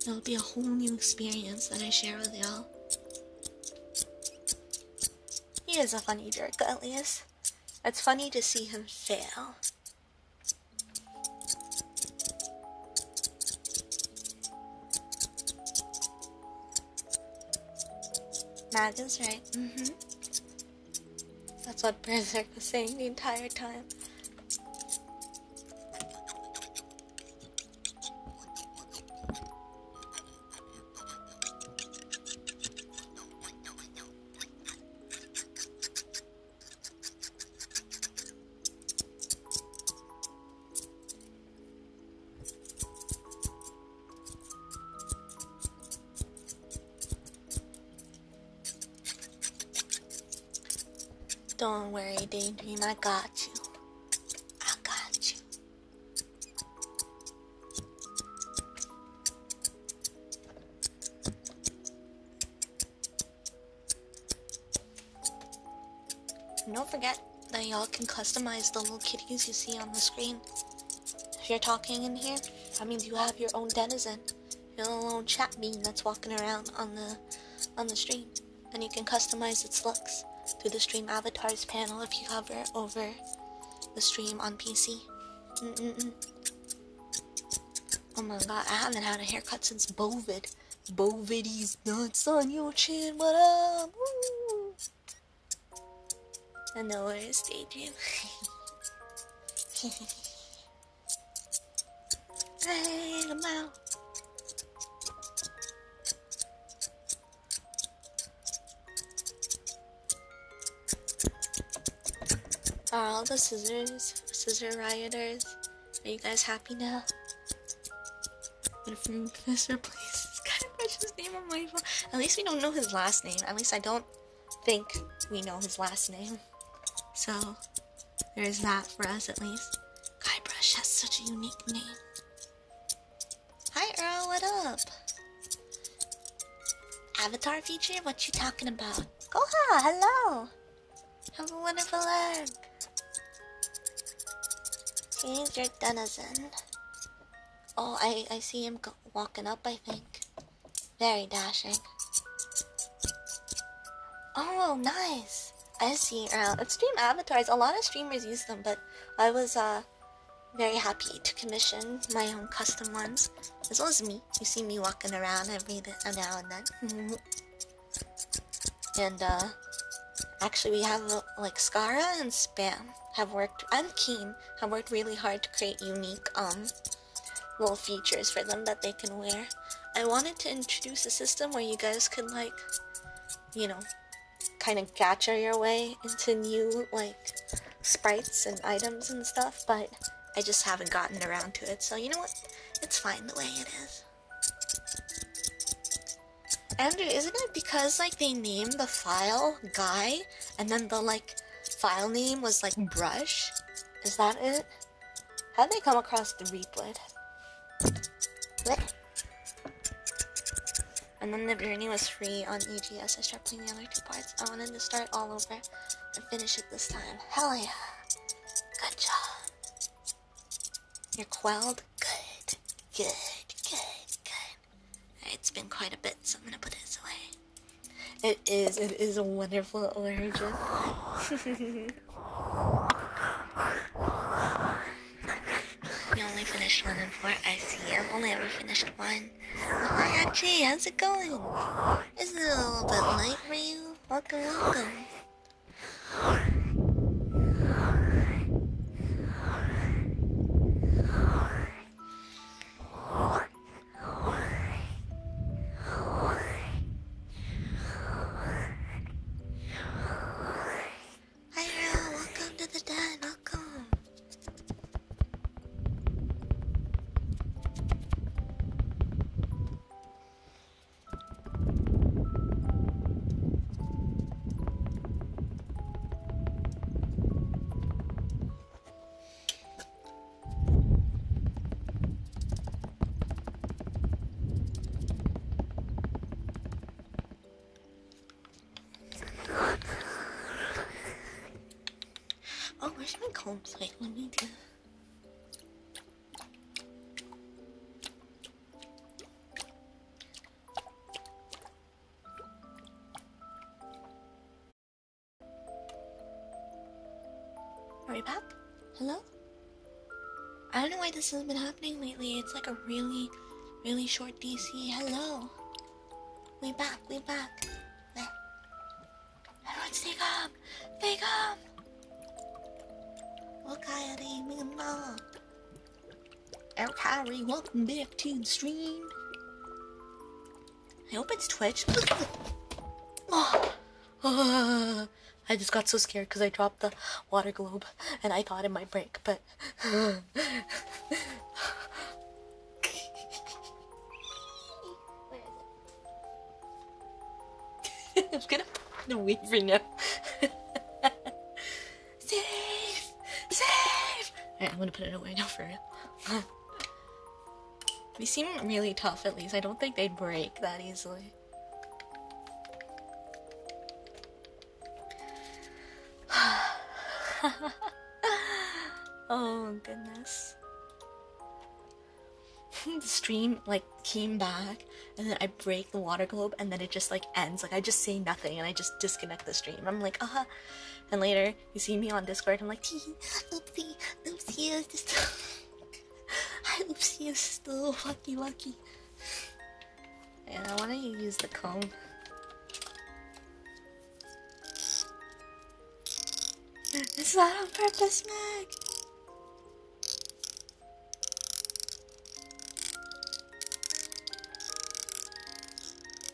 it'll be a whole new experience that I share with y'all. He is a funny jerk, Elias. It's funny to see him fail. Maggie's right. Mm-hmm. That's what Berserk was saying the entire time. Don't worry, Daydream, I got you. I got you. don't forget that y'all can customize the little kitties you see on the screen if you're talking in here, that means you have your own denizen, your own little chat bean that's walking around on the on the stream, and you can customize its looks through the stream avatars panel if you hover over the stream on PC. Oh my god, I haven't had a haircut since Bovid. Bovid nuts on your chin, what up? I know where where is daydream. hey, come out. Are all the scissors, scissor rioters, are you guys happy now? Mr. Please, fetch name on my phone. At least we don't know his last name. At least I don't think we know his last name. So there's that for us at least. Guybrush has such a unique name. Hi Earl, what up? Avatar feature? What you talking about? Goha, hello! Have a wonderful day. Change your denizen. Oh, I, I see him go walking up, I think. Very dashing. Oh, nice. I see. Uh, stream avatars. A lot of streamers use them, but I was uh, very happy to commission my own custom ones. As well as me. You see me walking around every now and then. Mm-hmm. and uh, actually, we have uh, like Scara and Spam have worked, I'm Keen have worked really hard to create unique um, little features for them that they can wear. I wanted to introduce a system where you guys could like, you know, kind of gacha your way into new like sprites and items and stuff, but I just haven't gotten around to it. So you know what? It's fine the way it is. Andrew, isn't it because like they named the file Guy and then the like file name was like brush. Is that it? How'd they come across the Reapwood? What? And then the journey was free on EGS. I started playing the other two parts. I wanted to start all over and finish it this time. Hell yeah. Good job. You're quelled? Good. Good. Good. Good. It's been quite a bit, so I'm gonna put this away. It is, it is a wonderful origin. You only finished one and four. I see. I've only ever finished one. Hi, Archie. How's it going? Is it a little bit late for you? Welcome, welcome. Hi, Roo. Welcome to the den. Welcome. Oh, where's my combs? Wait, let me do. Hurry up. Hello? I don't know why this has been happening lately. It's like a really, really short DC. Hello. We back, we back. Everyone stay calm. Stay calm. Okay, welcome back to the stream. I hope it's Twitch. Oh, oh, I just got so scared because I dropped the water globe and I thought it might break, but. I'm gonna the weaver now. Save! Save! I'm gonna put it away now for real. They seem really tough, at least. I don't think they'd break that easily. oh, goodness. the stream, like, came back, and then I break the water globe, and then it just, like, ends. Like, I just say nothing, and I just disconnect the stream. I'm like, uh -huh. And later, you see me on Discord, I'm like, Tee, oopsie, oopsie, is this oopsie is still lucky, lucky. And I want to use the comb. It's not on purpose, Meg.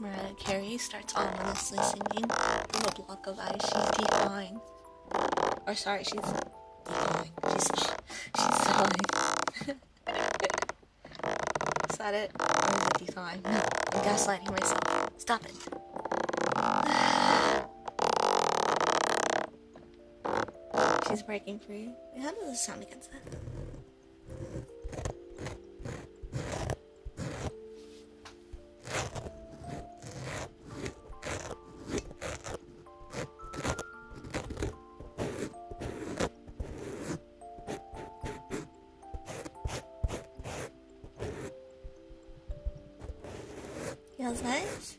Mariah Carey starts ominously singing from a block of ice. She's decline. Or sorry, she's decline. She's she's sawing. Is that it? I'm 55. gaslighting myself. Stop it. She's breaking free. How does this sound against that? Ja, seid?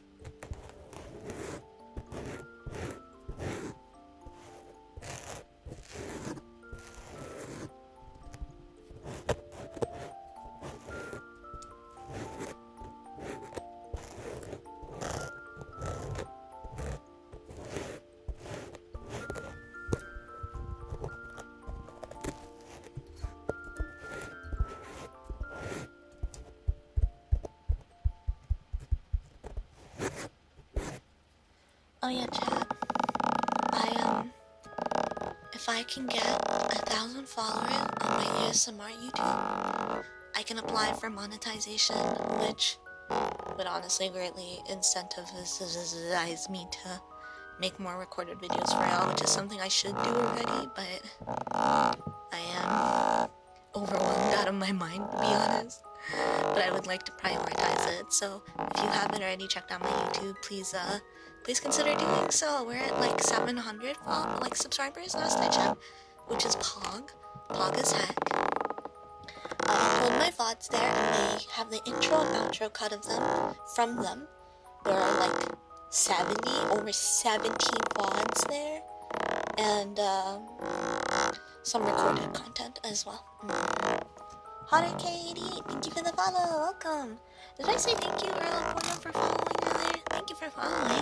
Oh yeah, chat. I um, if I can get a thousand followers on my ASMR YouTube, I can apply for monetization, which would honestly greatly incentivize me to make more recorded videos for y'all, which is something I should do already, but I am overwhelmed out of my mind, to be honest. But I would like to prioritize it, so if you haven't already checked out my YouTube, please, uh, please consider doing so. We're at like 700 like subscribers last I which is pog, pog as heck. I'll put my VODs there and they have the intro and outro cut of them from them. There are like 70, or 17 VODs there, and um, some recorded content as well. Mm. Katie, thank you for the follow, welcome! Did I say thank you, Earl Porno, for following me there. Thank you for following.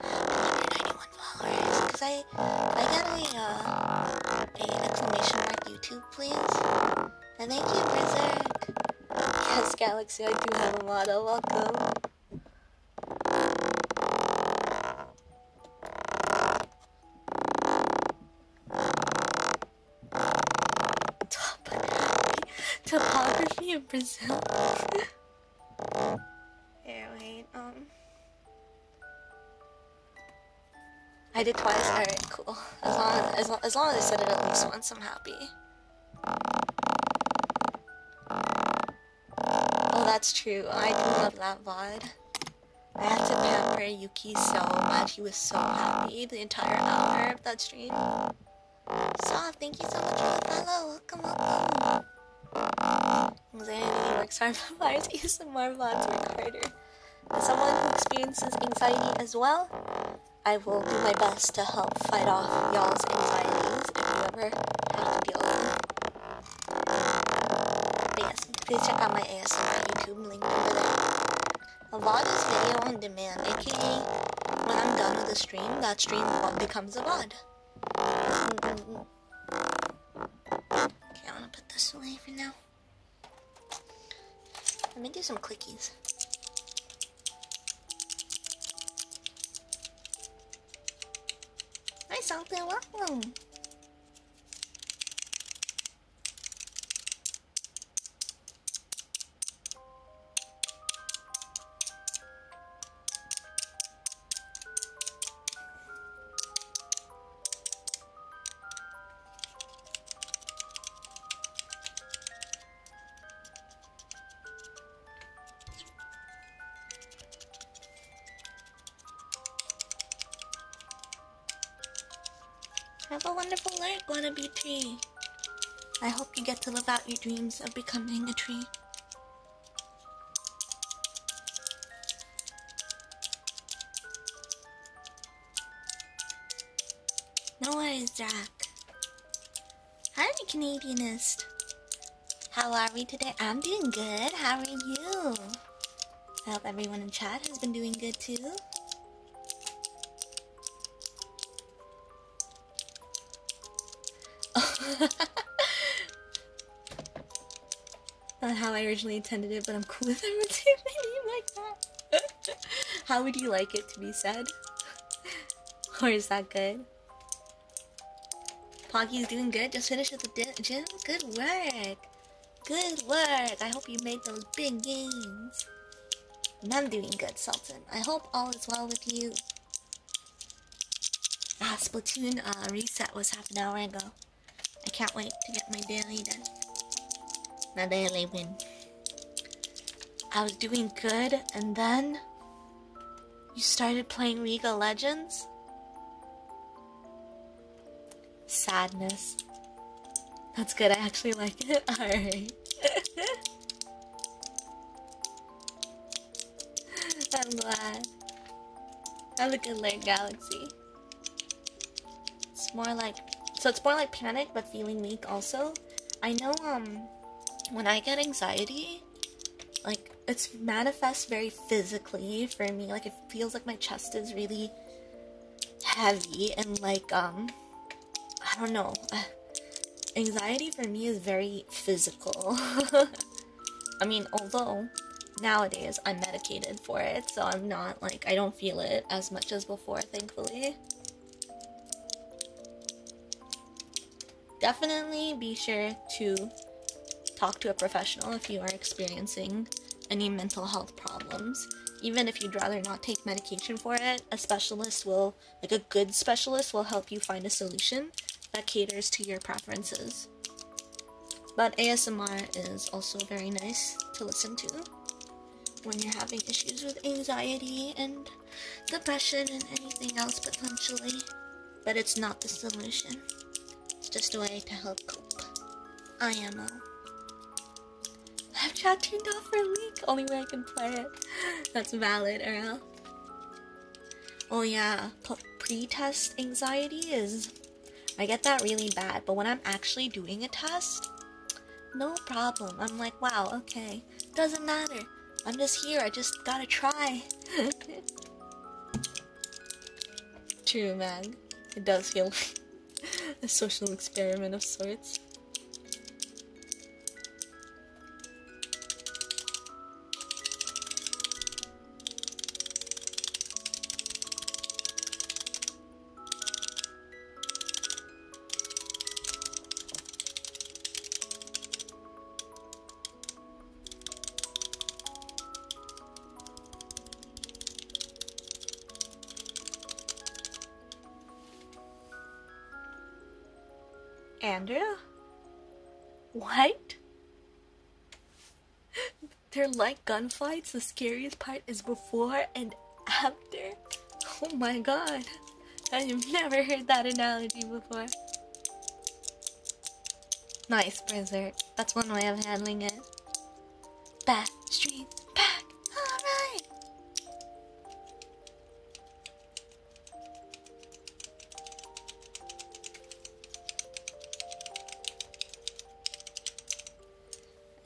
191 followers, because I, I got a, uh, a exclamation mark YouTube, please. And thank you, Berserk. Yes, Galaxy, I do have a motto. Welcome. Top topography of Brazil. Here, wait. Um. I did twice? Alright, cool. As long as, long, as long I said it at least once, I'm happy. Oh, that's true. I do love that VOD. I had to pamper Yuki so much. He was so happy the entire hour of that stream. So, thank you so much for the follow. Welcome, welcome. Anxiety works hard, but fires use the work recorder. As someone who experiences anxiety as well, I will do my best to help fight off y'all's anxieties if you ever have to deal with them. But yes, please check out my ASMR YouTube link over there. A VOD this video on demand, aka when I'm done with the stream, that stream becomes a VOD. Okay, I'm gonna put this away for now. Let me do some clickies. Hi, Salty, welcome. Have a wonderful life, wannabe tree. I hope you get to live out your dreams of becoming a tree. No worries, Jack. Hi, Canadianist. How are we today? I'm doing good. How are you? I hope everyone in chat has been doing good too. Not how I originally intended it, but I'm cool with everyone saying my name like that. How would you like it to be said? or is that good? Poggy's doing good. Just finished with the gym. Good work. Good work. I hope you made those big gains. And I'm doing good, Sultan. I hope all is well with you. Ah, platoon uh, reset was half an hour ago. I can't wait to get my daily done. My daily win. I was doing good, and then you started playing League of Legends? Sadness. That's good, I actually like it. Alright. I'm glad. Have a good night, Galaxy. It's more like so it's more like panic but feeling weak also. I know um when I get anxiety, like it's manifests very physically for me. Like it feels like my chest is really heavy and like um I don't know. Anxiety for me is very physical. I mean, although nowadays I'm medicated for it, so I'm not like I don't feel it as much as before, thankfully. Definitely be sure to talk to a professional if you are experiencing any mental health problems. Even if you'd rather not take medication for it, a specialist will, like a good specialist, will help you find a solution that caters to your preferences. But ASMR is also very nice to listen to when you're having issues with anxiety and depression and anything else potentially. But it's not the solution. It's just a way to help cope. IMO. Live chat turned off for a week. Only way I can play it. That's valid, Earl. Oh yeah, pre-test anxiety is... I get that really bad, but when I'm actually doing a test, no problem. I'm like, wow, okay. Doesn't matter. I'm just here. I just gotta try. True, man. It does feel a social experiment of sorts. Andrea? What? They're like gunfights. The scariest part is before and after. Oh my god, I've never heard that analogy before. Nice, Berserk. That's one way of handling it. Back, streets, back, alright!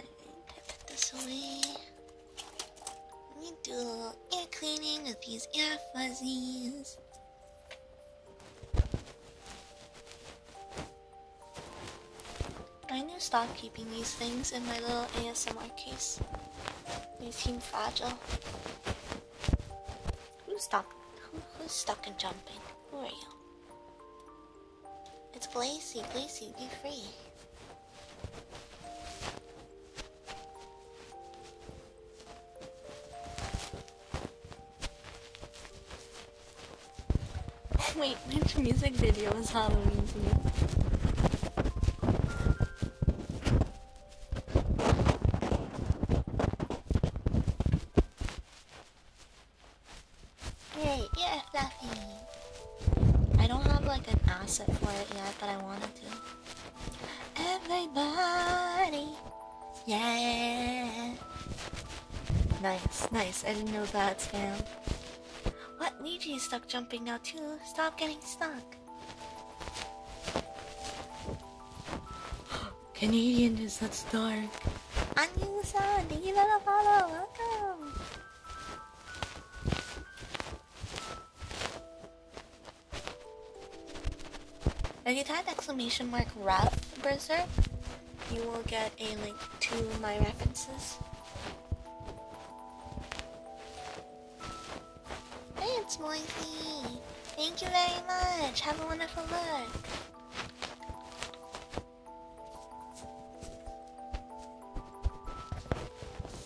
I put this away. Let me do a little air cleaning with these air fuzzies. I need to stop keeping these things in my little ASMR case. They seem fragile. Who's stuck? Who, who's stuck and jumping? Who are you? It's Glacy. Glacy, be free. Wait, which music video is Halloween Hey, yeah, at I don't have like an asset for it yet, but I wanted to. Everybody, yeah. Nice, nice. I didn't know that spam. What Niji is stuck jumping now too? Stop getting stuck. Canadian is that's dark. Anyusan, thank you for the follow. Welcome. If you type exclamation mark ref berserk, you will get a link to my references. Hey, it's Moisey! Thank you very much! Have a wonderful look!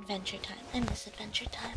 Adventure time. and misadventure time.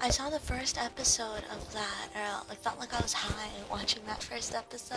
I saw the first episode of that, or I felt like I was high watching that first episode.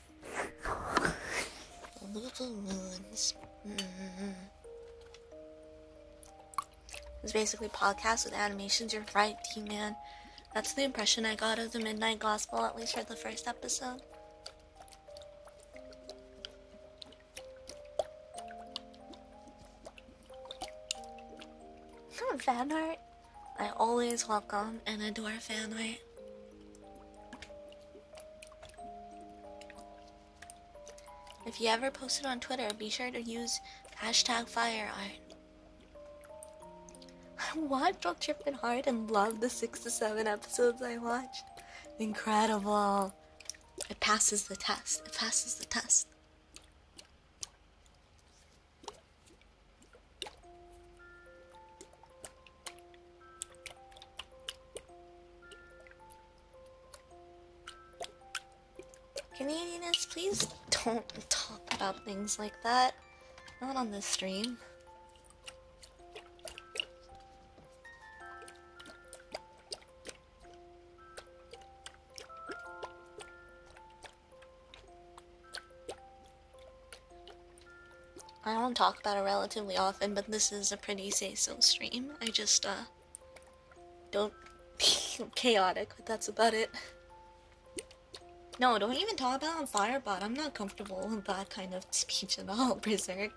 It's basically podcast with animations. You're right, T man. That's the impression I got of the Midnight Gospel, at least for the first episode. Not I always welcome and adore fan if you ever post it on Twitter, be sure to use hashtag Fire Art. I watched while tripping hard and loved the six to seven episodes I watched. Incredible. It passes the test. It passes the test. Canadianus, please don't talk about things like that. Not on this stream. I don't talk about it relatively often, but this is a pretty say-so stream. I just, uh, don't i chaotic, but that's about it. No, don't even talk about on Firebot. I'm not comfortable with that kind of speech at all, Berserk.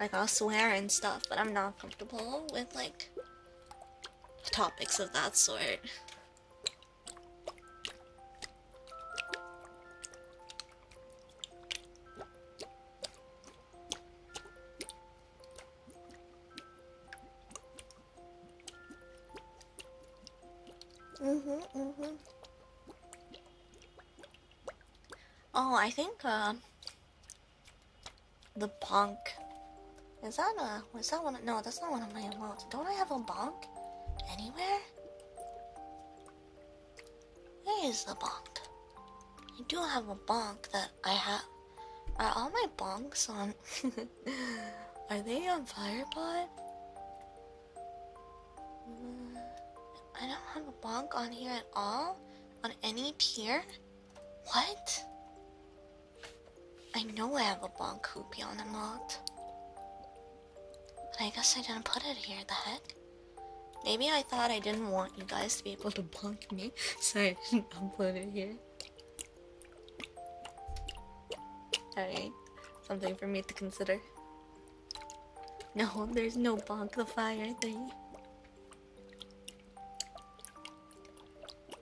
Like, I'll swear and stuff, but I'm not comfortable with, like, topics of that sort hmm hmm Oh, I think, uh, the punk is that a? Was that one? No, that's not one of my emotes. Don't I have a bonk? Anywhere? Where is the bonk? I do have a bonk that I have. Are all my bonks on? Are they on Firepod? Mm, I don't have a bonk on here at all. On any pier? What? I know I have a bonk hoopy on the mod. But I guess I didn't put it here, the heck? Maybe I thought I didn't want you guys to be able to bonk me, so I didn't upload it here. Alright, something for me to consider. No, there's no bonk the fire thing.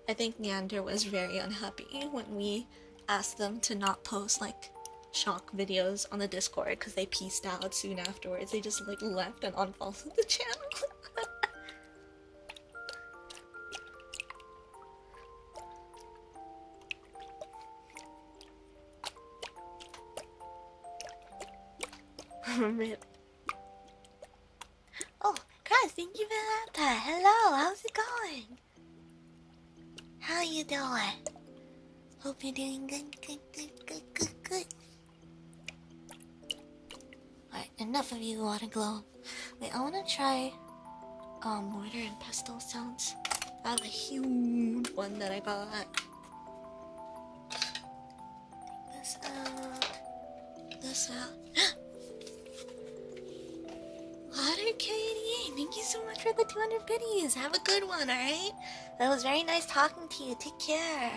I think Neander was very unhappy when we asked them to not post like shock videos on the Discord because they pieced out soon afterwards. They just like left and unfollowed the channel. Oh, Christ, thank you for Hello, how's it going? How you doing? Hope you're doing good, good, good, good, good, good. Alright, enough of you water glow. Wait, I wanna try um mortar and pestle sounds. I have a huge one that I bought. this out. This out. WaterQ88, thank you so much for the 200 biddies. Have a good one, alright? That was very nice talking to you. Take care.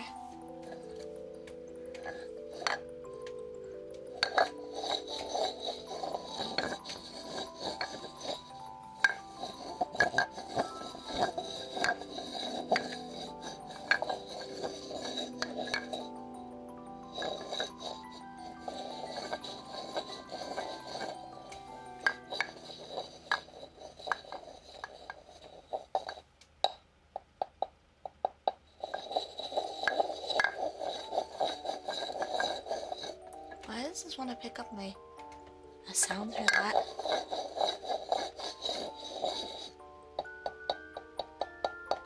Why does this want to pick up my a sound for that?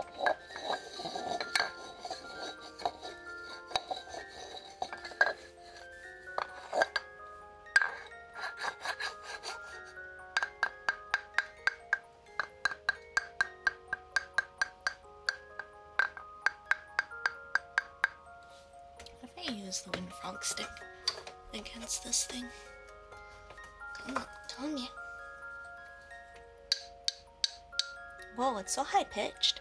If I use the windfrog stick against this thing, come on, tell me. Whoa, it's so high pitched.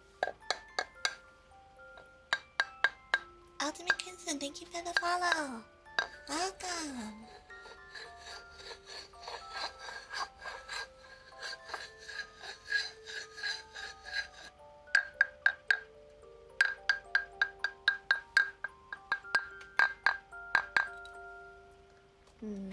Ultimate Kinson, thank you for the follow. Welcome. Hmm.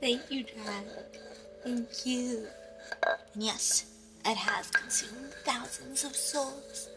Thank you, Jack. Thank you. And yes, it has consumed thousands of souls.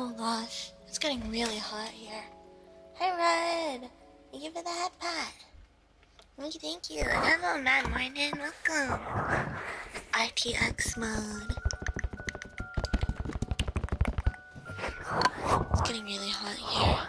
Oh gosh, it's getting really hot here. Hi, Red. Thank you for the hot pot. Thank you, thank you. Hello, Mad Morning. Welcome. RTX mode. It's getting really hot here.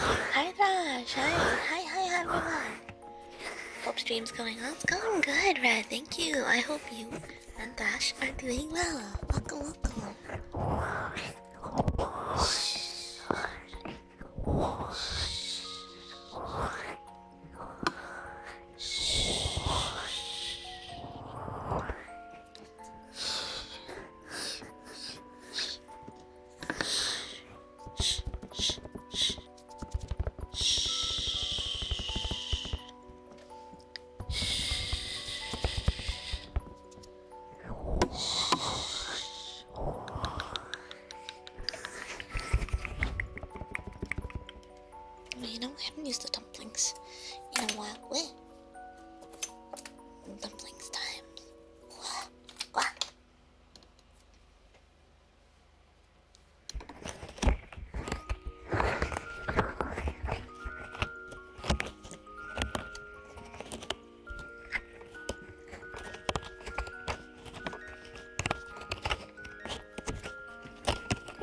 Hi Thrash, hi, hi, hi everyone. Hope stream's going on. going good, Red. Thank you. I hope you and Dash are doing well. Welcome, welcome. You know, we haven't used the dumplings in a while. Where? Dumplings time.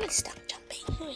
stop jumping.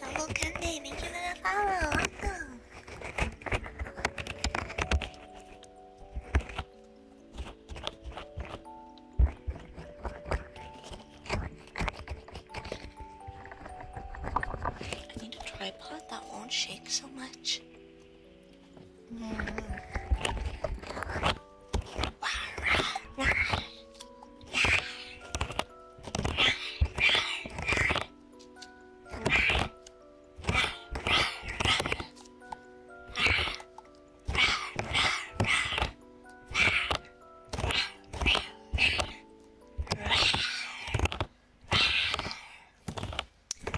Double Candy, thank you for the follow. I need a tripod that won't shake so much.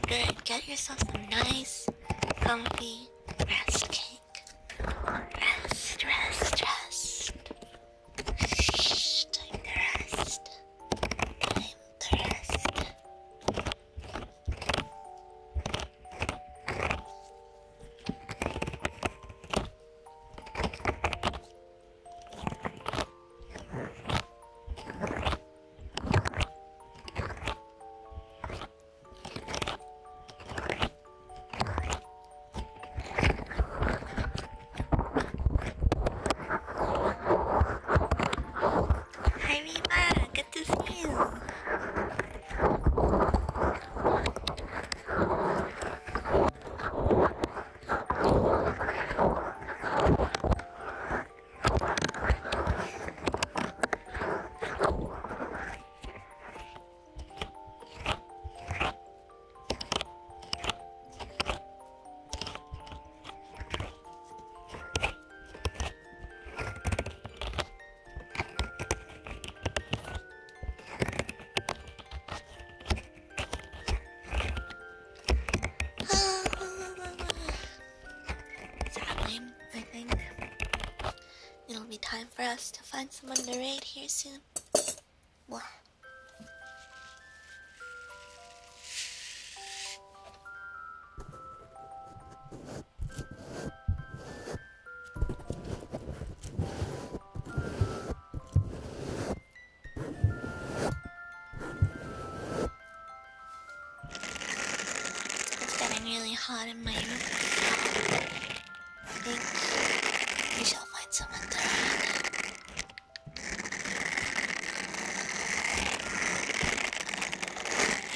Good, get yourself some nice, comfy rest, okay? Rest, rest, rest. Shh, time to rest. Time to rest. Hi, Reba. Good to see you. Time, I think. It'll be time for us to find someone to raid here soon. It's getting really hot in my room. I think we shall find someone to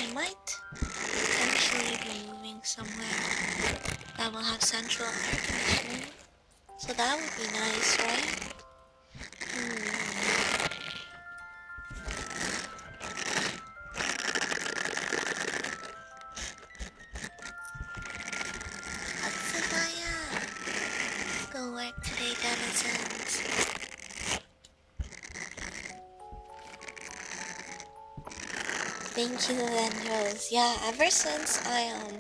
I might eventually be moving somewhere that will have central air conditioning, so that would be nice, right? Hmm. Atsubaya! Go work today, denizens. Thank you, Vendros. Yeah, ever since I, um...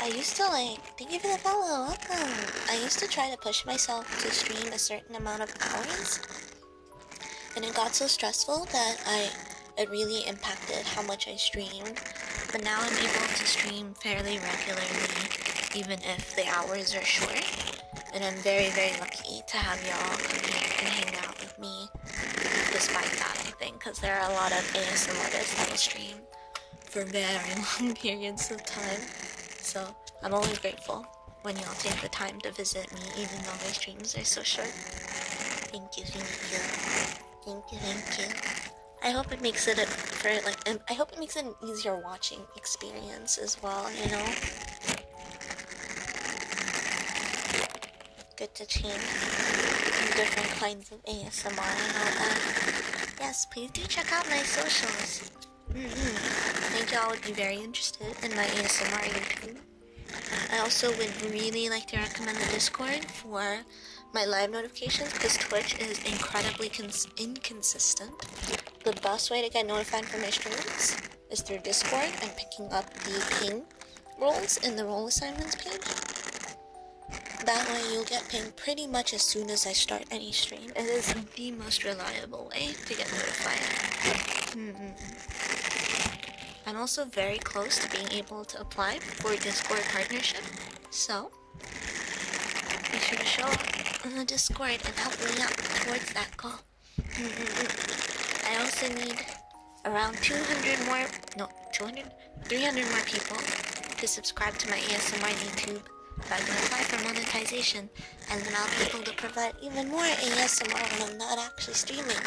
I used to like... Thank you for the follow, welcome! I used to try to push myself to stream a certain amount of hours. And it got so stressful that I it really impacted how much I streamed, but now I'm able to stream fairly regularly, even if the hours are short. And I'm very, very lucky to have y'all come here and hang out with me, despite that, I think, because there are a lot of ASM artists that will stream for very long periods of time. So I'm only grateful when y'all take the time to visit me, even though my streams are so short. Thank you, thank you. Thank you, thank you. I hope it makes it a, for like um, I hope it makes it an easier watching experience as well. You know, good to change different kinds of ASMR and all that. Yes, please do check out my socials. Mm-hmm. Thank y'all would be very interested in my ASMR YouTube. I also would really like to recommend the Discord for my live notifications because Twitch is incredibly inconsistent. The best way to get notified for my streams is through Discord and picking up the ping roles in the role assignments page. That way you'll get pinged pretty much as soon as I start any stream. It is the most reliable way to get notified. Mm-hmm. I'm also very close to being able to apply for Discord partnership, so be sure to show up on the Discord and help me out towards that goal. Mm-hmm. I also need around 200 more, no, 200, 300 more people to subscribe to my ASMR YouTube if I can apply for monetization, and then I'll be able to provide even more ASMR when I'm not actually streaming.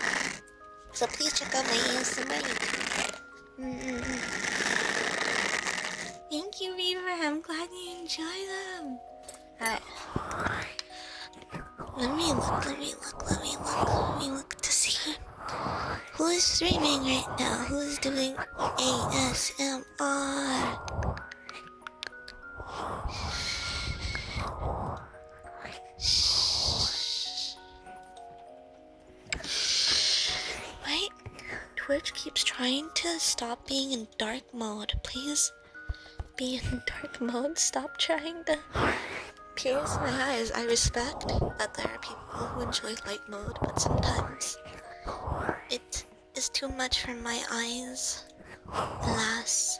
So please check out my ASMR YouTube. Thank you, Reaver. I'm glad you enjoy them. Let me look, let me look, let me look, let me look to see who is streaming right now, who is doing ASMR. Wait, Twitch keeps trying to stop being in dark mode. Please be in dark mode. Stop trying to pierce my eyes. I respect that there are people who enjoy light mode, but sometimes it is too much for my eyes. Alas.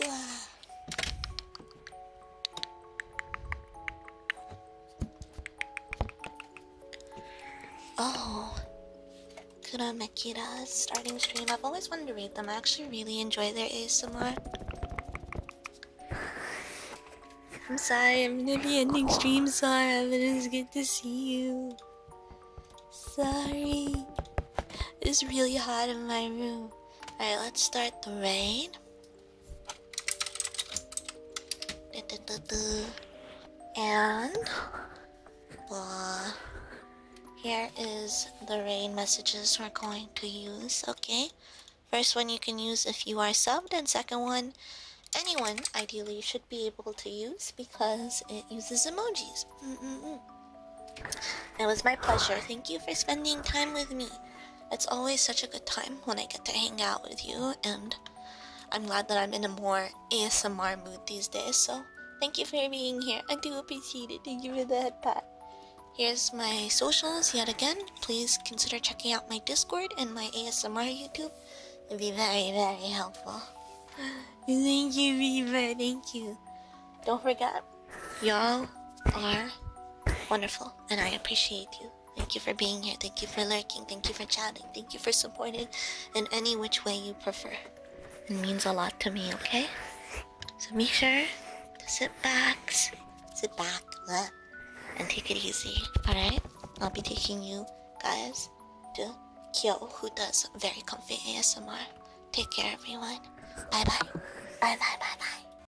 Wow. Oh, Kura Mekira's starting stream. I've always wanted to read them. I actually really enjoy their ASMR. I'm sorry, I'm gonna be ending stream. Sorry, but it's good to see you. Sorry. It's really hot in my room. Alright, let's start the rain. And blah. Here is the rain messages we're going to use, okay? First one you can use if you are subbed, and second one anyone ideally should be able to use because it uses emojis. It was my pleasure. Thank you for spending time with me. It's always such a good time when I get to hang out with you, and I'm glad that I'm in a more ASMR mood these days, so thank you for being here. I do appreciate it. Thank you for the head pat. Here's my socials yet again. Please consider checking out my Discord and my ASMR YouTube. It'd be very, very helpful. Thank you, Viva. Thank you. Don't forget, Y'all are wonderful, and I appreciate you. Thank you for being here. Thank you for lurking. Thank you for chatting. Thank you for supporting in any which way you prefer. It means a lot to me, okay? So make sure to sit back, sit back, and take it easy, alright? I'll be taking you guys to Kyo, who does very comfy ASMR. Take care, everyone. Bye bye. Bye bye bye bye.